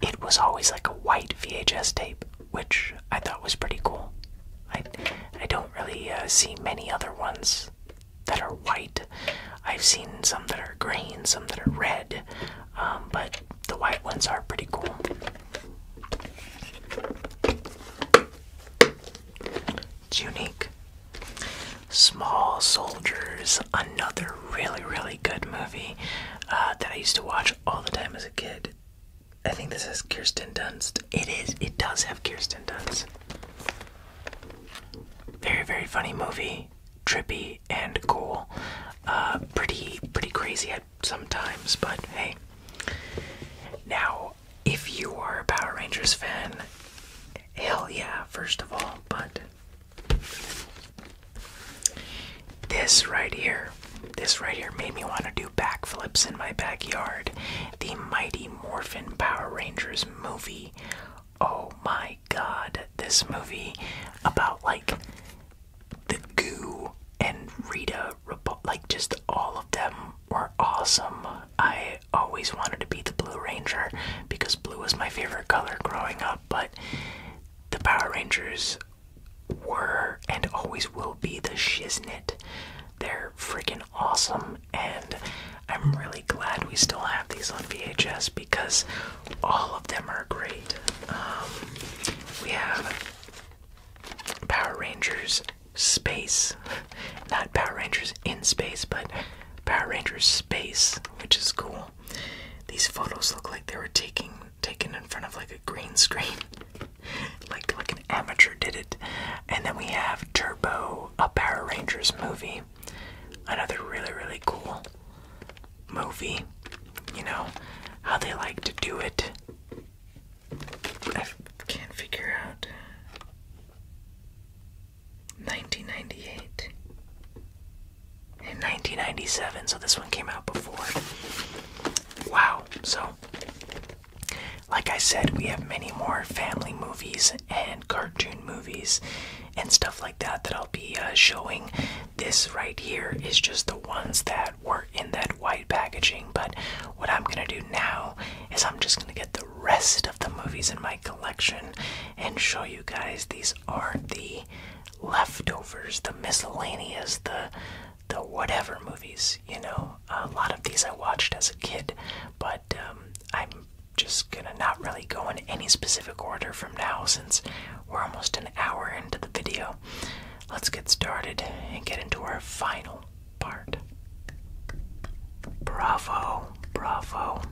it was always like a white VHS tape, which I thought was pretty cool. I I don't really uh, see many other ones that are white. I've seen some that are green, some that are red, um, but the white ones are pretty cool. It's unique. Small Soldiers, another really, really good movie uh, that I used to watch all the time as a kid. I think this has Kirsten Dunst. It is, it does have Kirsten Dunst. Very, very funny movie. Trippy and cool. Uh, pretty, pretty crazy at sometimes, but hey. Now, if you are a Power Rangers fan, hell yeah, first of all, but this right here, this right here made me want to do backflips in my backyard. The Mighty Morphin Power Rangers movie. Oh my god, this movie about like the goo and Rita, like just all of them were awesome. I always wanted to be the Blue Ranger because blue was my favorite color growing up, but the Power Rangers were and always will be the shiznit. They're freaking awesome, and I'm really glad we still have these on VHS because all of them are great. Um, we have Power Rangers Space, not Power Rangers in Space, but Power Rangers Space, which is cool. These photos look like they were taking taken in front of like a green screen. like like an amateur did it. And then we have Turbo, a Power Rangers movie. Another really, really cool movie. You know, how they like to do it. I can't figure out 1998 and 1997 so this one came out before wow so like i said we have many more family movies and cartoon movies and stuff like that that i'll be uh, showing this right here is just the ones that were in that white packaging but what i'm gonna do now is i'm just gonna get the rest of the movies in my collection and show you guys these are the leftovers, the miscellaneous, the the whatever movies. You know, a lot of these I watched as a kid, but um, I'm just gonna not really go in any specific order from now since we're almost an hour into the video. Let's get started and get into our final part. Bravo! Bravo.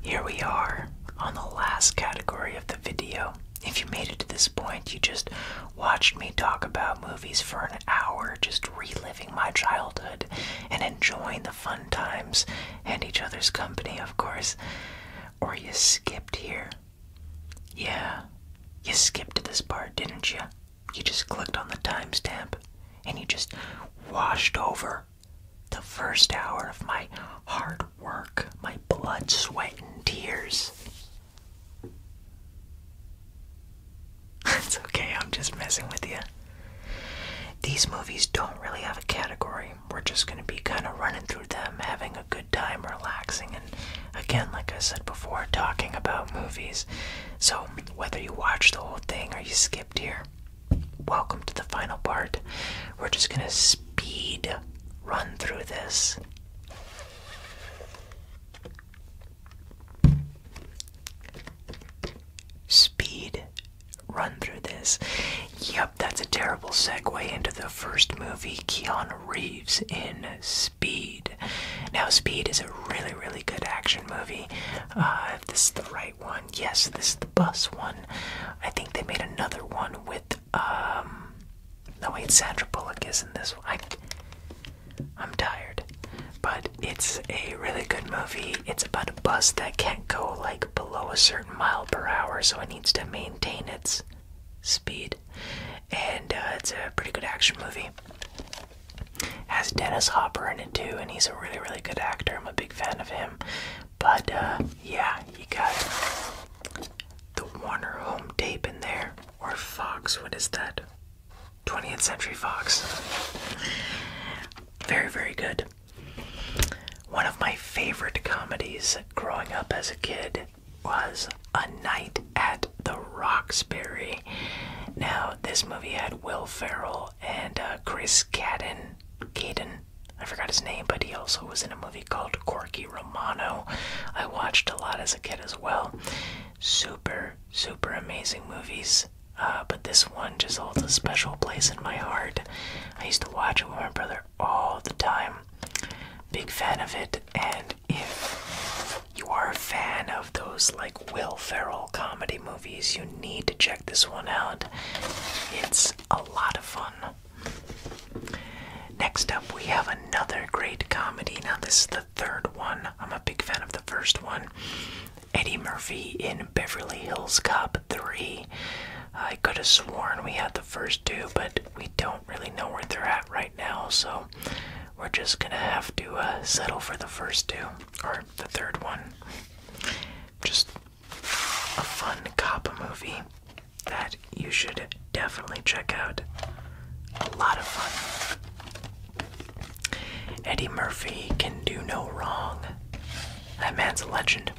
Here we are on the last category of the video. If you made it to this point, you just watched me talk about movies for an hour, just reliving my childhood and enjoying the fun times and each other's company, of course. Or you skipped here. Yeah, you skipped to this part, didn't you? You just clicked on the timestamp and you just washed over the first hour of my hard work, my blood, sweat, and tears. it's okay, I'm just messing with you. These movies don't really have a category. We're just going to be kind of running through them, having a good time, relaxing, and again, like I said before, talking about movies. So, whether you watch the whole thing or you skipped here, welcome to the final part. We're just gonna speed run through this. Speed run through this. Yup, that's a terrible segue into the first movie, Keanu Reeves in Speed. Now, Speed is a really, really good action movie. Uh, this is the right Yes, this is the bus one. I think they made another one with um no wait, Sandra Bullock is in this one. I, am tired. But it's a really good movie. It's about a bus that can't go like below a certain mile per hour, so it needs to maintain its speed. And uh, it's a pretty good action movie. Has Dennis Hopper in it too, and he's a really, really good actor. I'm a big fan of him. But uh, yeah, you got the Warner home tape in there, or Fox. What is that? 20th Century Fox. Very, very good. One of my favorite comedies growing up as a kid was A Night at the Roxbury. Now, this movie had Will Ferrell and uh, Chris Cadden, Caden, I forgot his name, but he also was in a movie called Corky Romano. I watched a lot as a kid as well. Super, super amazing movies. Uh, but this one just holds a special place in my heart. I used to watch it with my brother all the time. Big fan of it, and if you are a fan of those like Will Ferrell comedy movies, you need to check this one out. It's a lot of fun. Next up, we have another great comedy. Now, this is the third one. I'm a big fan of the first one. Eddie Murphy in Beverly Hills Cop 3. I could have sworn we had the first two, but we don't really know where they're at right now, so we're just gonna have to uh, settle for the first two, or the third one. Just a fun cop movie that you should definitely check out. A lot of fun. Eddie Murphy can do no wrong. That man's a legend.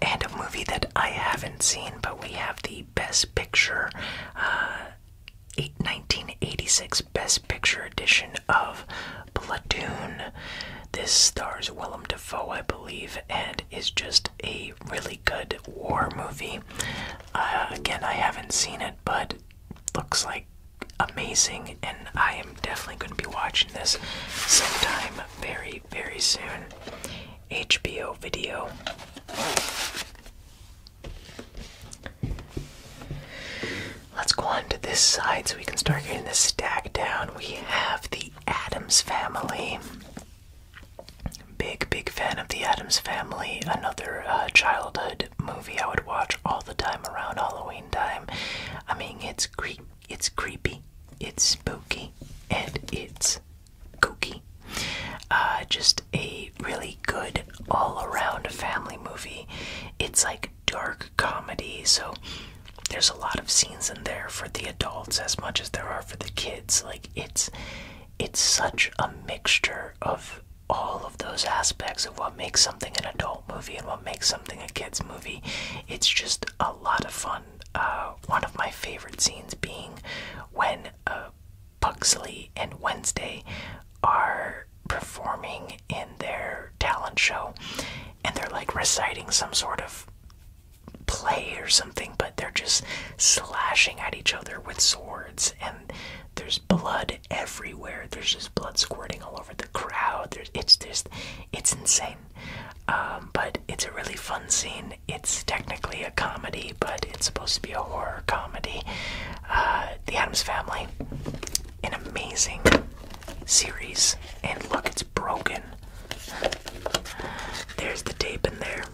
And a movie that I haven't seen, but we have the Best Picture, 1986 uh, Best Picture edition of Platoon. This stars Willem Dafoe. Foe, I believe, and is just a really good war movie. Uh, again, I haven't seen it, but looks like amazing, and I am definitely going to be watching this sometime very, very soon. HBO video. Let's go on to this side so we can start getting the stack down. We have the Adams Family. Big, big fan of the Adams Family. Another uh, childhood movie I would watch all the time around Halloween time. I mean, it's cre it's creepy, it's spooky, and it's kooky. Uh, just a really good all-around family movie. It's like dark comedy, so there's a lot of scenes in there for the adults as much as there are for the kids. Like it's it's such a mixture of all of those aspects of what makes something an adult movie and what makes something a kids movie. It's just a lot of fun. Uh, one of my favorite scenes being when uh, Pugsley and Wednesday are performing in their talent show and they're like reciting some sort of play or something, but they're just slashing at each other with swords, and there's blood everywhere. There's just blood squirting all over the crowd. it's just, it's insane. Um, but it's a really fun scene. It's technically a comedy, but it's supposed to be a horror comedy. Uh, the Adams Family, an amazing series, and look, it's broken. There's the tape in there.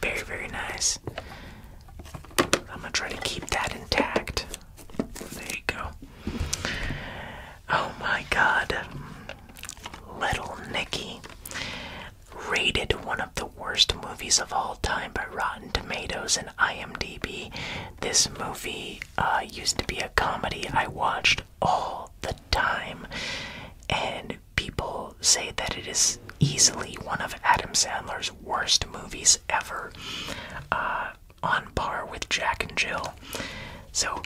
Very, very nice. I'm gonna try to keep that intact. There you go. Oh my god. Little Nicky. Rated one of the worst movies of all time by Rotten Tomatoes and IMDb. This movie uh, used to be a comedy I watched all the time, and people say that it is easily one of Adam Sandler's worst movies ever, uh, on par with Jack and Jill. So,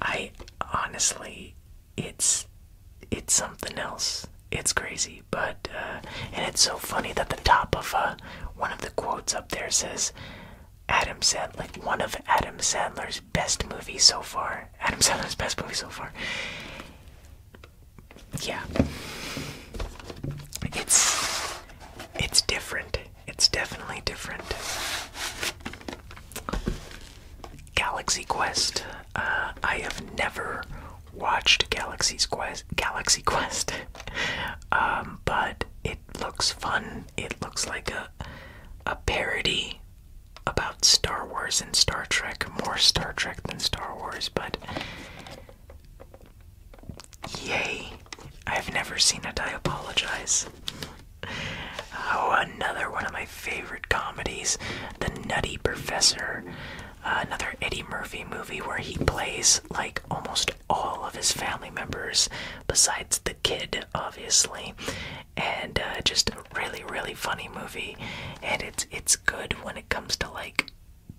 I honestly, it's it's something else. It's crazy, but uh, and it's so funny that the top of uh, one of the quotes up there says, Adam Sandler, like one of Adam Sandler's best movies so far. Adam Sandler's best movie so far. Yeah, it's it's different. It's definitely different. Galaxy Quest. Uh, I have never watched Galaxy's Quest. Galaxy Quest, um, but it looks fun. It looks like a a parody about Star Wars and Star Trek. More Star Trek than Star Wars, but yay. I've never seen it, I apologize. Oh, another one of my favorite comedies, The Nutty Professor. another Eddie Murphy movie where he plays like almost all of his family members besides the kid, obviously. And uh, just a really, really funny movie. And it's it's good when it comes to like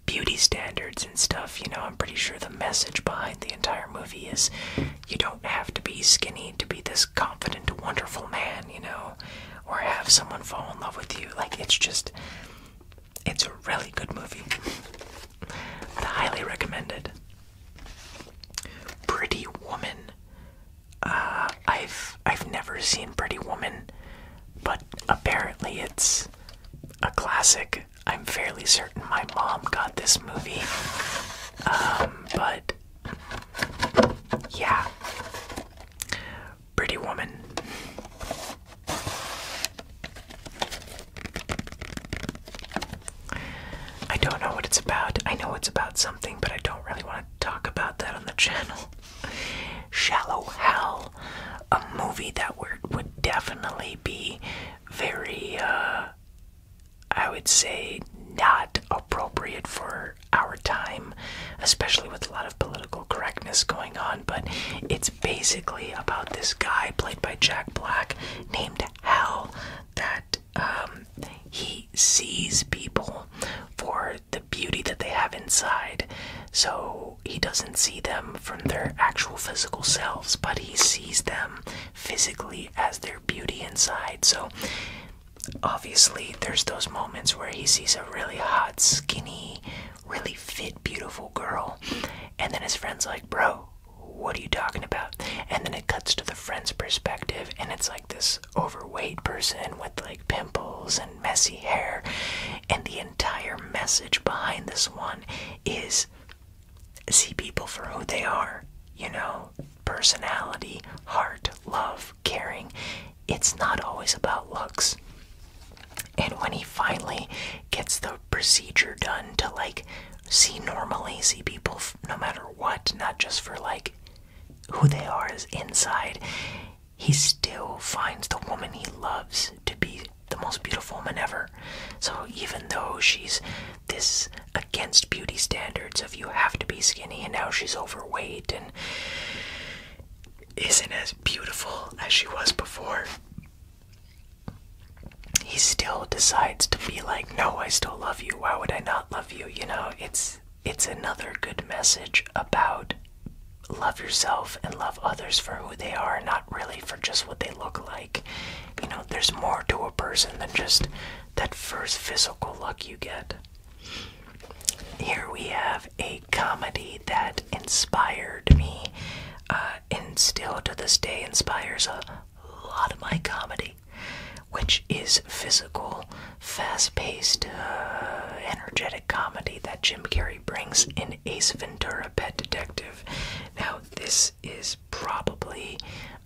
beauty standards and stuff. You know, I'm pretty sure the message behind the entire movie is you don't have to be skinny to be this confident, wonderful man. You know, or have someone fall in love with you. Like it's just. It's a really good movie. I highly recommend it. Pretty Woman. Uh, I've I've never seen Pretty Woman, but apparently it's a classic. I'm fairly certain my mom got this movie, um, but yeah, Pretty Woman. I don't know what it's about. I know it's about something, but I don't really want to talk about that on the channel. Shallow Hell, a movie that would definitely be very, uh, I would say, not appropriate for our time, especially with a lot of political correctness going on. But it's basically about this guy played by Jack Black named Hell that um, he sees people for the beauty that they have inside. So he doesn't see them from their actual physical selves, but he sees them physically as their beauty inside. So obviously, there's those moments where he sees a really hot, skinny, really fit, beautiful girl, and then his friend's like, Bro, what are you talking about? And then it cuts to the friend's perspective, and it's like, this overweight person with like pimples and messy hair. And the entire message behind this one is see people for who they are, you know? Personality, heart, love, caring. It's not always about looks. And when he finally gets the procedure done to like see normally, see people no matter what, not just for like who they are as inside, he still finds the woman he loves to be the most beautiful woman ever. So even though she's this against beauty standards of you have to be skinny and now she's overweight and isn't as beautiful as she was before, he still decides to be like, no, I still love you. Why would I not love you. You know, it's it's another good message about love yourself and love others for who they are, not really for just what they look like. You know, there's more to a person than just that first physical look you get. Here we have a comedy that inspired me uh, and still to this day inspires a a lot of my comedy, which is physical, fast paced, uh, energetic comedy that Jim Carrey brings in Ace Ventura Pet Detective. Now, this is probably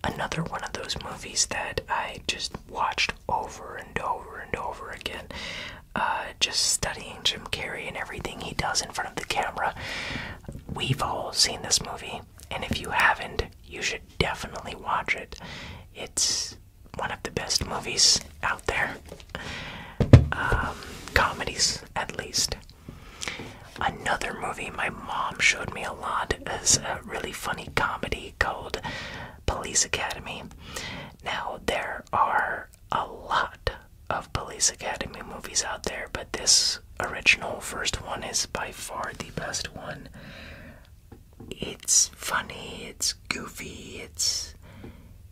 another one of those movies that I just watched over and over and over again. Uh, just studying Jim Carrey and everything he does in front of the camera. We've all seen this movie, and if you haven't, you should definitely watch it. It's one of the best movies out there. Um, comedies, at least. Another movie my mom showed me a lot is a really funny comedy called Police Academy. Now, there are a lot of Police Academy movies out there, but this original first one is by far the best one it's funny, it's goofy, it's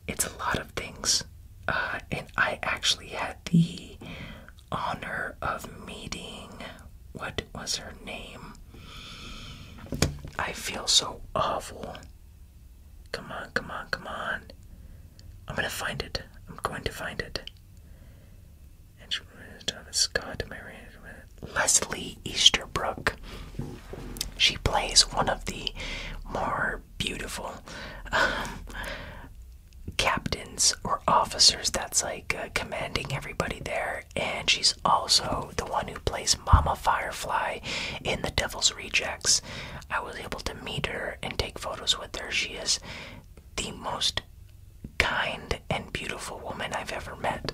it's a lot of things. Uh, and I actually had the honor of meeting what was her name? I feel so awful. Come on, come on, come on. I'm gonna find it. I'm going to find it and she married Thomas Scott, married with Leslie Easterbrook. She plays one of the more beautiful um, captains or officers that's like uh, commanding everybody there, and she's also the one who plays Mama Firefly in The Devil's Rejects. I was able to meet her and take photos with her. She is the most kind and beautiful woman I've ever met.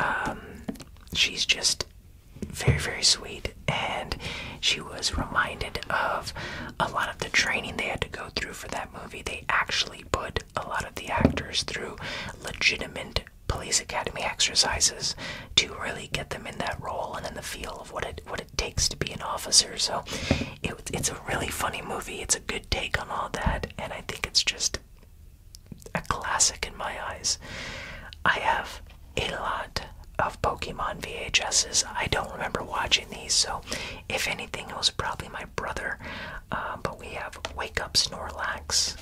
Um, she's just very, very sweet, and she was reminded of a lot of the training they had to go through for that movie. They actually put a lot of the actors through legitimate police academy exercises to really get them in that role and in the feel of what it what it takes to be an officer. So it, it's a really funny movie. It's a good take on all that, and I think it's just a classic in my eyes. I have a lot of Pokemon VHSs. I don't remember watching these, so if anything, it was probably my brother. Um, but we have Wake Up Snorlax.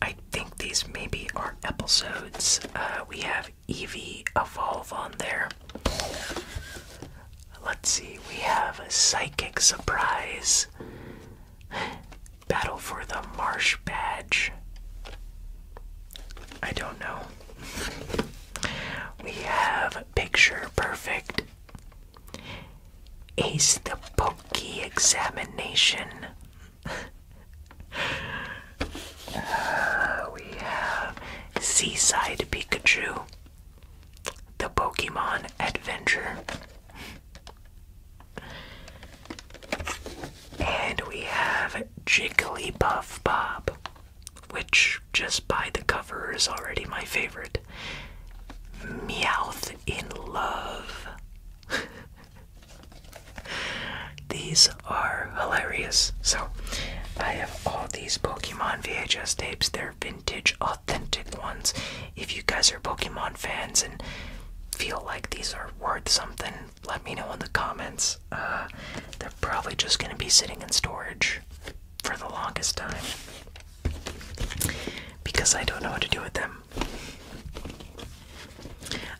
I think these maybe are episodes. Uh, we have Eevee Evolve on there. Let's see, we have a Psychic Surprise. Battle for the Marsh Badge. I don't know. we have Picture Perfect. Ace the Pokey Examination. uh, we have Seaside Pikachu. The Pokemon Adventure. and we have Jigglypuff Bob, which just by the cover is already my favorite. Meowth in Love. these are hilarious. So, I have all these Pokemon VHS tapes. They're vintage, authentic ones. If you guys are Pokemon fans and feel like these are worth something, let me know in the comments. Uh, they're probably just going to be sitting in storage for the longest time because I don't know what to do with them.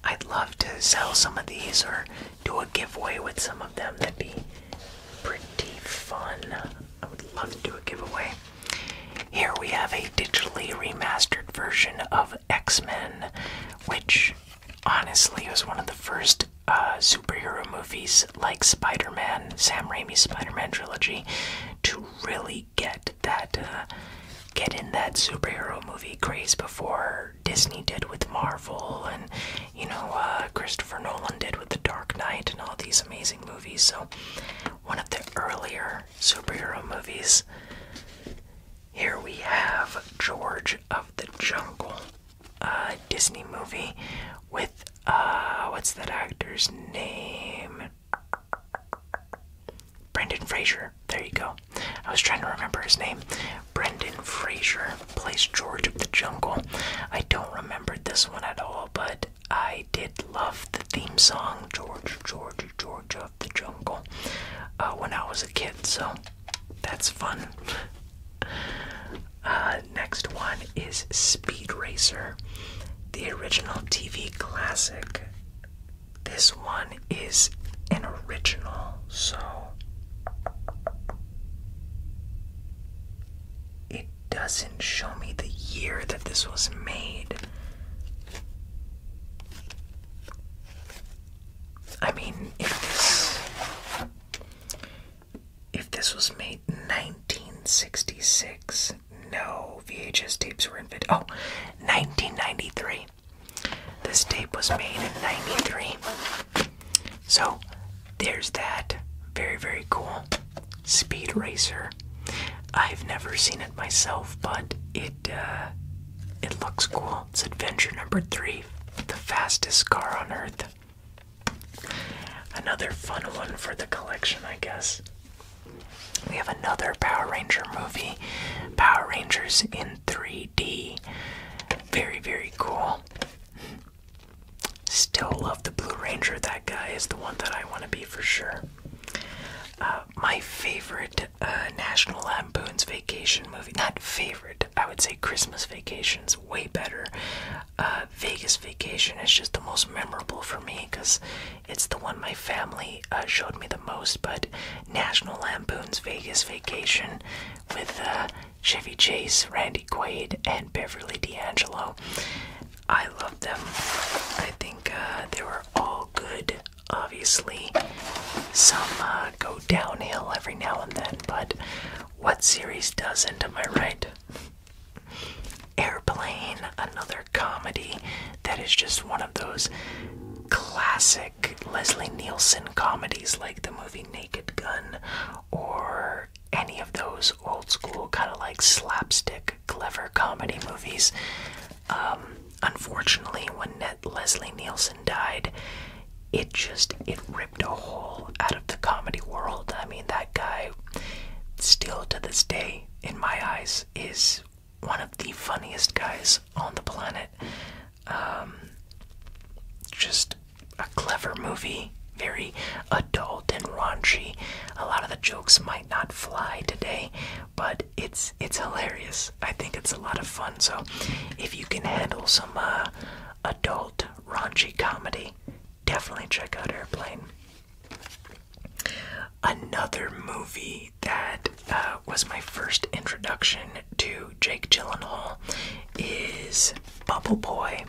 I'd love to sell some of these or do a giveaway with some of them. That'd be pretty fun. I would love to do a giveaway. Here we have a digitally remastered version of X Men, which honestly was one of the first uh, superhero movies like Spider Man, Sam Raimi's Spider Man trilogy, to really get that. Uh, get in that superhero movie craze before Disney did with Marvel and you know, uh, Christopher Nolan did with The Dark Knight and all these amazing movies. So, one of the earlier superhero movies. Here we have George of the Jungle, a Disney movie with, uh, what's that actor's name? Brendan Fraser. There you go. I was trying to remember his name. Brendan Fraser plays George of the Jungle. I don't remember this one at all, but I did love the theme song, George, George, George of the Jungle, uh, when I was a kid, so that's fun. Uh, next one is Speed Racer, the original TV classic. This one is an original, so it doesn't show me the year that this was made. I mean, if this if this was made 1966, no VHS tapes were invented. Oh, 1993. This tape was made in 93. So there's that. Very, very cool. Speed Racer. I've never seen it myself, but it uh, it looks cool. It's adventure number three, the fastest car on earth. Another fun one for the collection, I guess. We have another Power Ranger movie, Power Rangers in 3D. Very, very cool. Still love the Blue Ranger. That guy is the one that I want to be for sure. Uh, my favorite uh, National Lampoon's Vacation movie, not favorite, I would say Christmas Vacation's way better. Uh, Vegas Vacation is just the most memorable for me because it's the one my family showed me the most. But National Lampoon's Vegas Vacation with Chevy Chase, Randy Quaid, and Beverly D'Angelo. I love them. I think uh, they were all good. Obviously, some uh, go downhill every now and then, but what series doesn't, am I right? Airplane, another comedy that is just one of those classic Leslie Nielsen comedies like the movie Naked Gun or any of those old school kind of like slapstick clever comedy movies. Um, unfortunately, when Net Leslie Nielsen died, it just it ripped a hole out of the comedy world. I mean, that guy still to this day, in my eyes, is one of the funniest guys on the planet. Um, just a clever movie, very adult and raunchy. A lot of the jokes might not fly today, but it's it's hilarious. I think it's a lot of fun. So, if you can handle some uh, adult raunchy comedy, definitely check out Airplane. Another movie that uh, was my first introduction to Jake Gyllenhaal is Bubble Boy.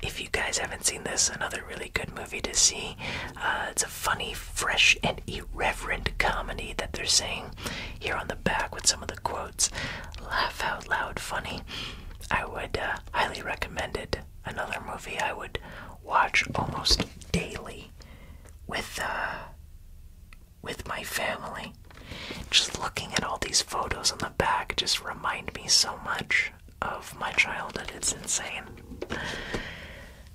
If you guys haven't seen this, another really good movie to see. Uh, it's a funny, fresh, and irreverent comedy that they're saying here on the back with some of the quotes. Laugh out loud, funny. I would uh, highly recommend it. Another movie I would watch almost daily with uh, with my family. Just looking at all these photos on the back just remind me so much of my childhood. It's insane.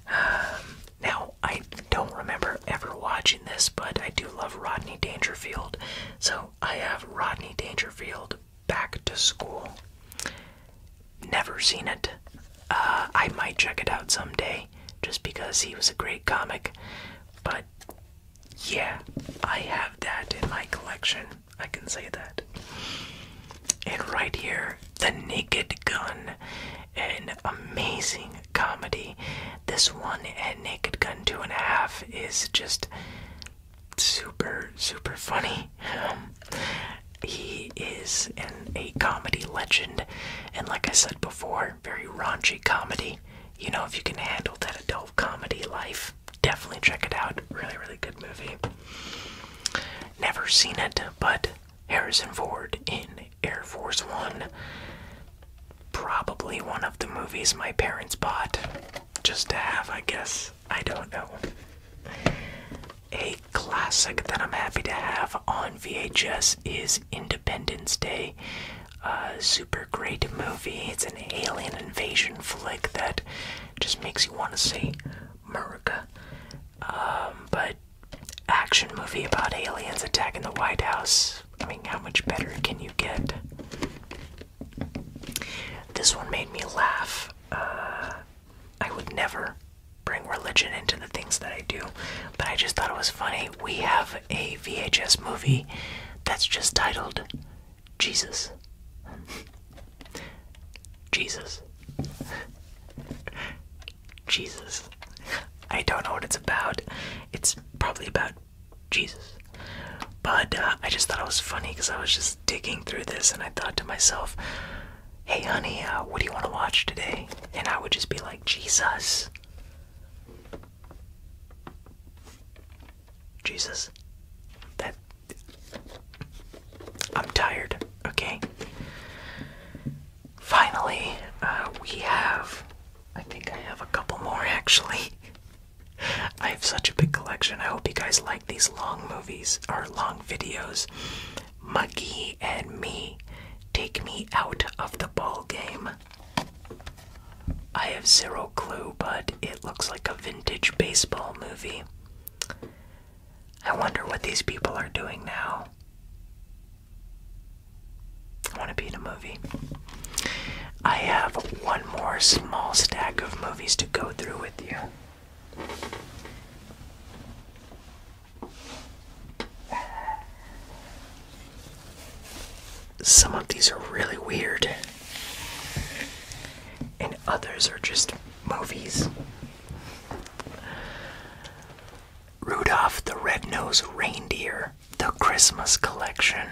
Um, now, I don't remember ever watching this, but I do love Rodney Dangerfield. So I have Rodney Dangerfield Back to School. Never seen it. Uh, I might check it out someday just because he was a great comic. But yeah, I have that in my collection. I can say that. And right here, The Naked Gun. An amazing comedy. This one and Naked Gun 2.5 is just super, super funny. Um, he is an, a comedy legend, and like I said before, very raunchy comedy. You know, if you can handle that adult comedy life, Definitely check it out. Really, really good movie. Never seen it, but Harrison Ford in Air Force One. Probably one of the movies my parents bought just to have, I guess. I don't know. A classic that I'm happy to have on VHS is Independence Day. A super great movie. It's an alien invasion flick that just makes you want to say America. Um, but action movie about aliens attacking the White House. I mean, how much better can you get? This one made me laugh. Uh, I would never bring religion into the things that I do, but I just thought it was funny. We have a VHS movie that's just titled Jesus. Jesus. Jesus. I don't know what it's about. It's probably about Jesus. But uh, I just thought it was funny because I was just digging through this and I thought to myself, hey, honey, uh, what do you want to watch today? And I would just be like, Jesus. Jesus. That I'm tired, okay? Finally, uh, we have. I think I have a couple more actually. I have such a big collection. I hope you guys like these long movies or long videos. Muggy and Me Take Me Out of the Ball Game. I have zero clue, but it looks like a vintage baseball movie. I wonder what these people are doing now. I want to be in a movie. I have one more small stack of movies to go through with you. Some of these are really weird and others are just movies. Rudolph the Red-Nosed Reindeer, the Christmas collection.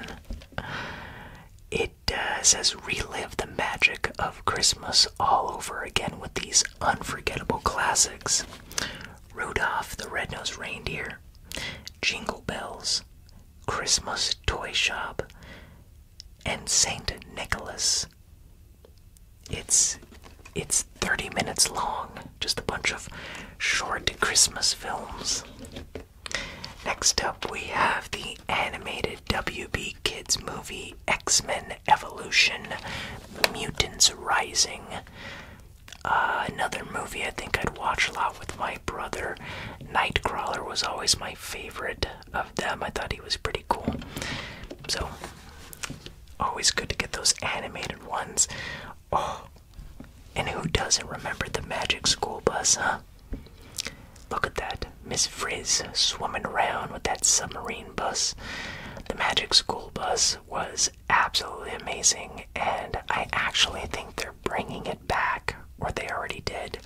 It does uh, as relive the magic of Christmas all over again with these unforgettable classics. Rudolph the Red-Nosed Reindeer, Jingle Bells, Christmas Toy Shop, and St. Nicholas. It's it's 30 minutes long, just a bunch of short Christmas films. Next up, we have the animated WB Kids movie X-Men Evolution: Mutants Rising. Uh, another movie I think I'd watch a lot with my brother. Nightcrawler was always my favorite of them. I thought he was pretty cool. So, always good to get those animated ones. Oh, and who doesn't remember the Magic School Bus, huh? Look at that. Miss Frizz swimming around with that submarine bus. The Magic School Bus was absolutely amazing, and I actually think they're bringing it back, or they already did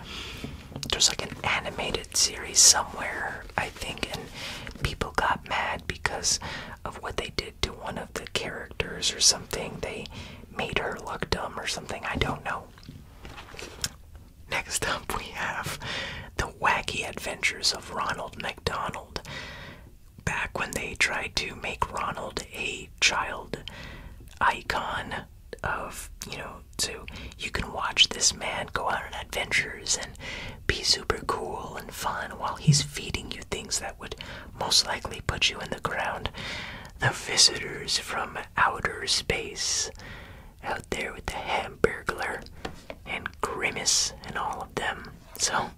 there's like an animated series somewhere, I think, and people got mad because of what they did to one of the characters or something. They made her look dumb or something, I don't know. Next up, we have the wacky adventures of Ronald McDonald. Back when they tried to make Ronald a child icon, of you know so you can watch this man go on adventures and be super cool and fun while he's feeding you things that would most likely put you in the ground the visitors from outer space out there with the hamburger and grimace and all of them so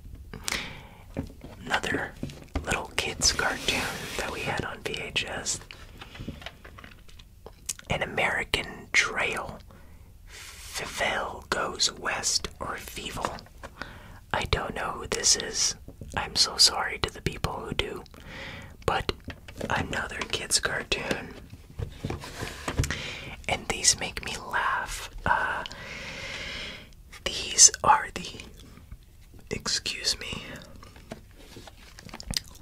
another little kids cartoon that we had on vhs an American trail. Fivel goes west or Feeval. I don't know who this is. I'm so sorry to the people who do. But another kids' cartoon. And these make me laugh. Uh, these are the. Excuse me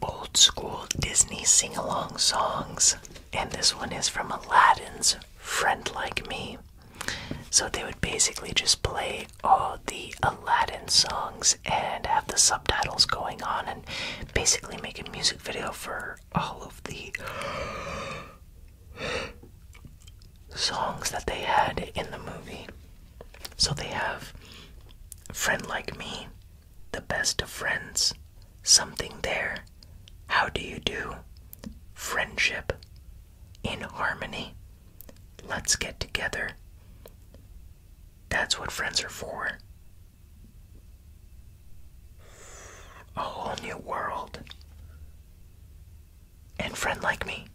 old school Disney sing along songs, and this one is from Aladdin's Friend Like Me. So they would basically just play all the Aladdin songs and have the subtitles going on and basically make a music video for all of the songs that they had in the movie. So they have Friend Like Me, the best of friends, something there, how do you do, friendship, in harmony, let's get together. That's what friends are for. A whole new world. And friend like me.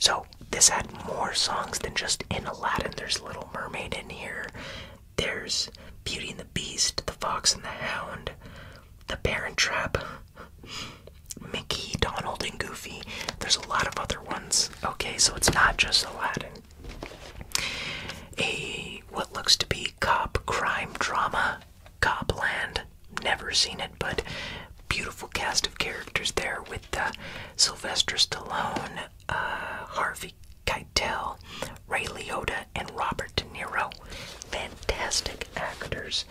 So, this had more songs than just in Aladdin. There's Little Mermaid in here, there's Beauty and the Beast, The Fox and the Hound, The Parent Trap, Mickey, Donald, and Goofy. There's a lot of other ones. Okay, so it's not just Aladdin. A what looks to be cop crime drama, Copland. Never seen it, but beautiful cast of characters there with uh, Sylvester Stallone, uh, Harvey Keitel, Ray Liotta, and Robert De Niro. Fantastic actors.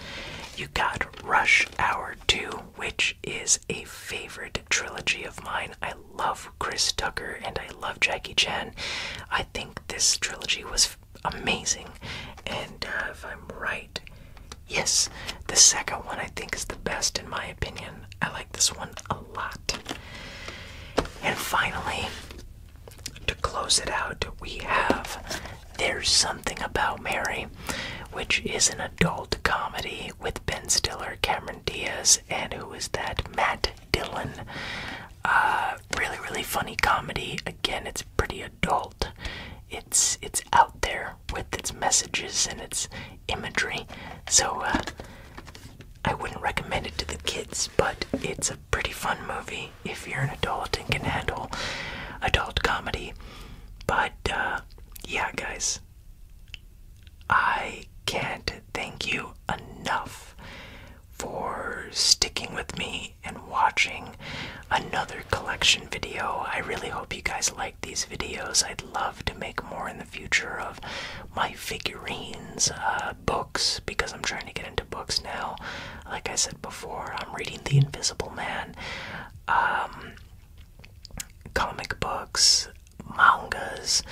You got Rush Hour 2, which is a favorite trilogy of mine. I love Chris Tucker and I love Jackie Chan. I think this trilogy was amazing, and uh, if I'm right, Yes, the second one I think is the best in my opinion. I like this one a lot. And finally, to close it out, we have There's Something About Mary, which is an adult comedy with Ben Stiller, Cameron Diaz, and who is that? Matt Dillon. A uh, really, really funny comedy. Again, it's pretty adult. It's it's out there with its messages and its imagery. So uh, I wouldn't recommend it to the kids, but it's a pretty fun movie if you're an adult and can handle adult comedy. But uh, yeah, guys, I can't thank you enough for sticking with me and watching another collection video. I really hope you guys like these videos. I'd love to make more in the future of my figurines, uh, books, because I'm trying to get into books now. Like I said before, I'm reading The Invisible Man, um, comic books, mangas.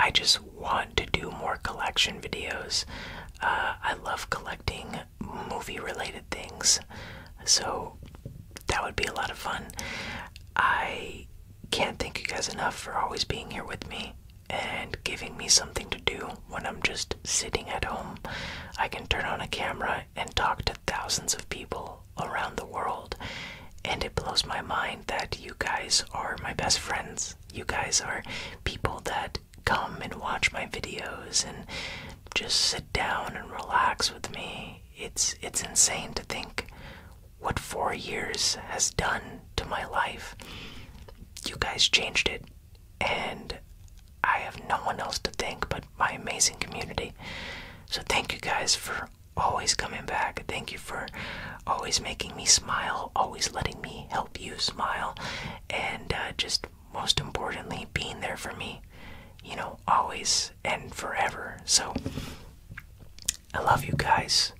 I just want to do more collection videos. Uh, I love collecting movie related things. So that would be a lot of fun. I can't thank you guys enough for always being here with me and giving me something to do when I'm just sitting at home. I can turn on a camera and talk to thousands of people around the world, and it blows my mind that you guys are my best friends. You guys are people that come and watch my videos and just sit down and relax with me it's it's insane to think what four years has done to my life. You guys changed it, and I have no one else to thank but my amazing community. So thank you guys for always coming back. Thank you for always making me smile, always letting me help you smile, and uh, just most importantly, being there for me, you know, always and forever. So I love you guys.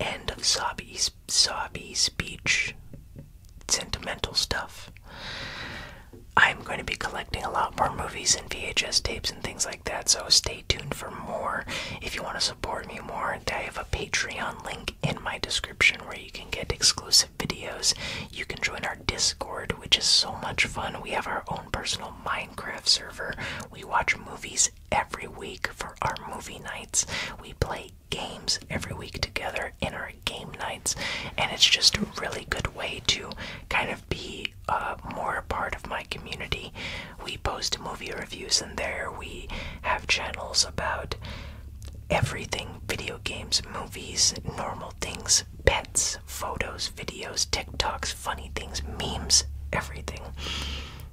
End of Sabi's Sabi speech. Sentimental stuff. I'm going to be collecting a lot more movies and VHS tapes and things like that, so stay tuned for more. If you want to support me more, I have a Patreon link in my description where you can get exclusive videos. You can join our Discord, which is so much fun. We have our own personal Minecraft server. We watch movies every week for our movie nights. We play games every week together in our game nights. And it's just a really good way to kind of be uh, more a part of my community. We post movie reviews and there. We have channels about everything video games, movies, normal things, pets, photos, videos, TikToks, funny things, memes, everything.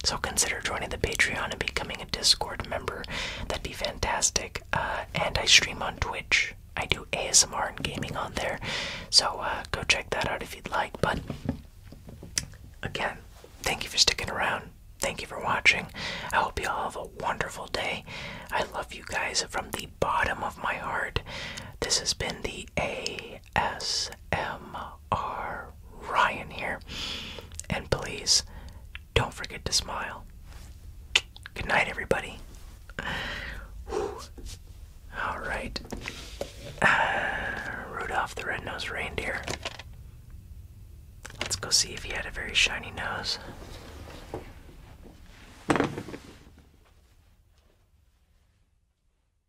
So consider joining the Patreon and becoming a Discord member. That'd be fantastic. Uh, and I stream on Twitch. I do ASMR and gaming on there. So uh, go check that out if you'd like. But again, thank you for sticking around. Thank you for watching. I hope you all have a wonderful day. I love you guys from the bottom of my heart. This has been the A. S. M. R. Ryan here. And please don't forget to smile. Good night, everybody. Alright. Uh, Rudolph the Red-Nosed Reindeer. Let's go see if he had a very shiny nose.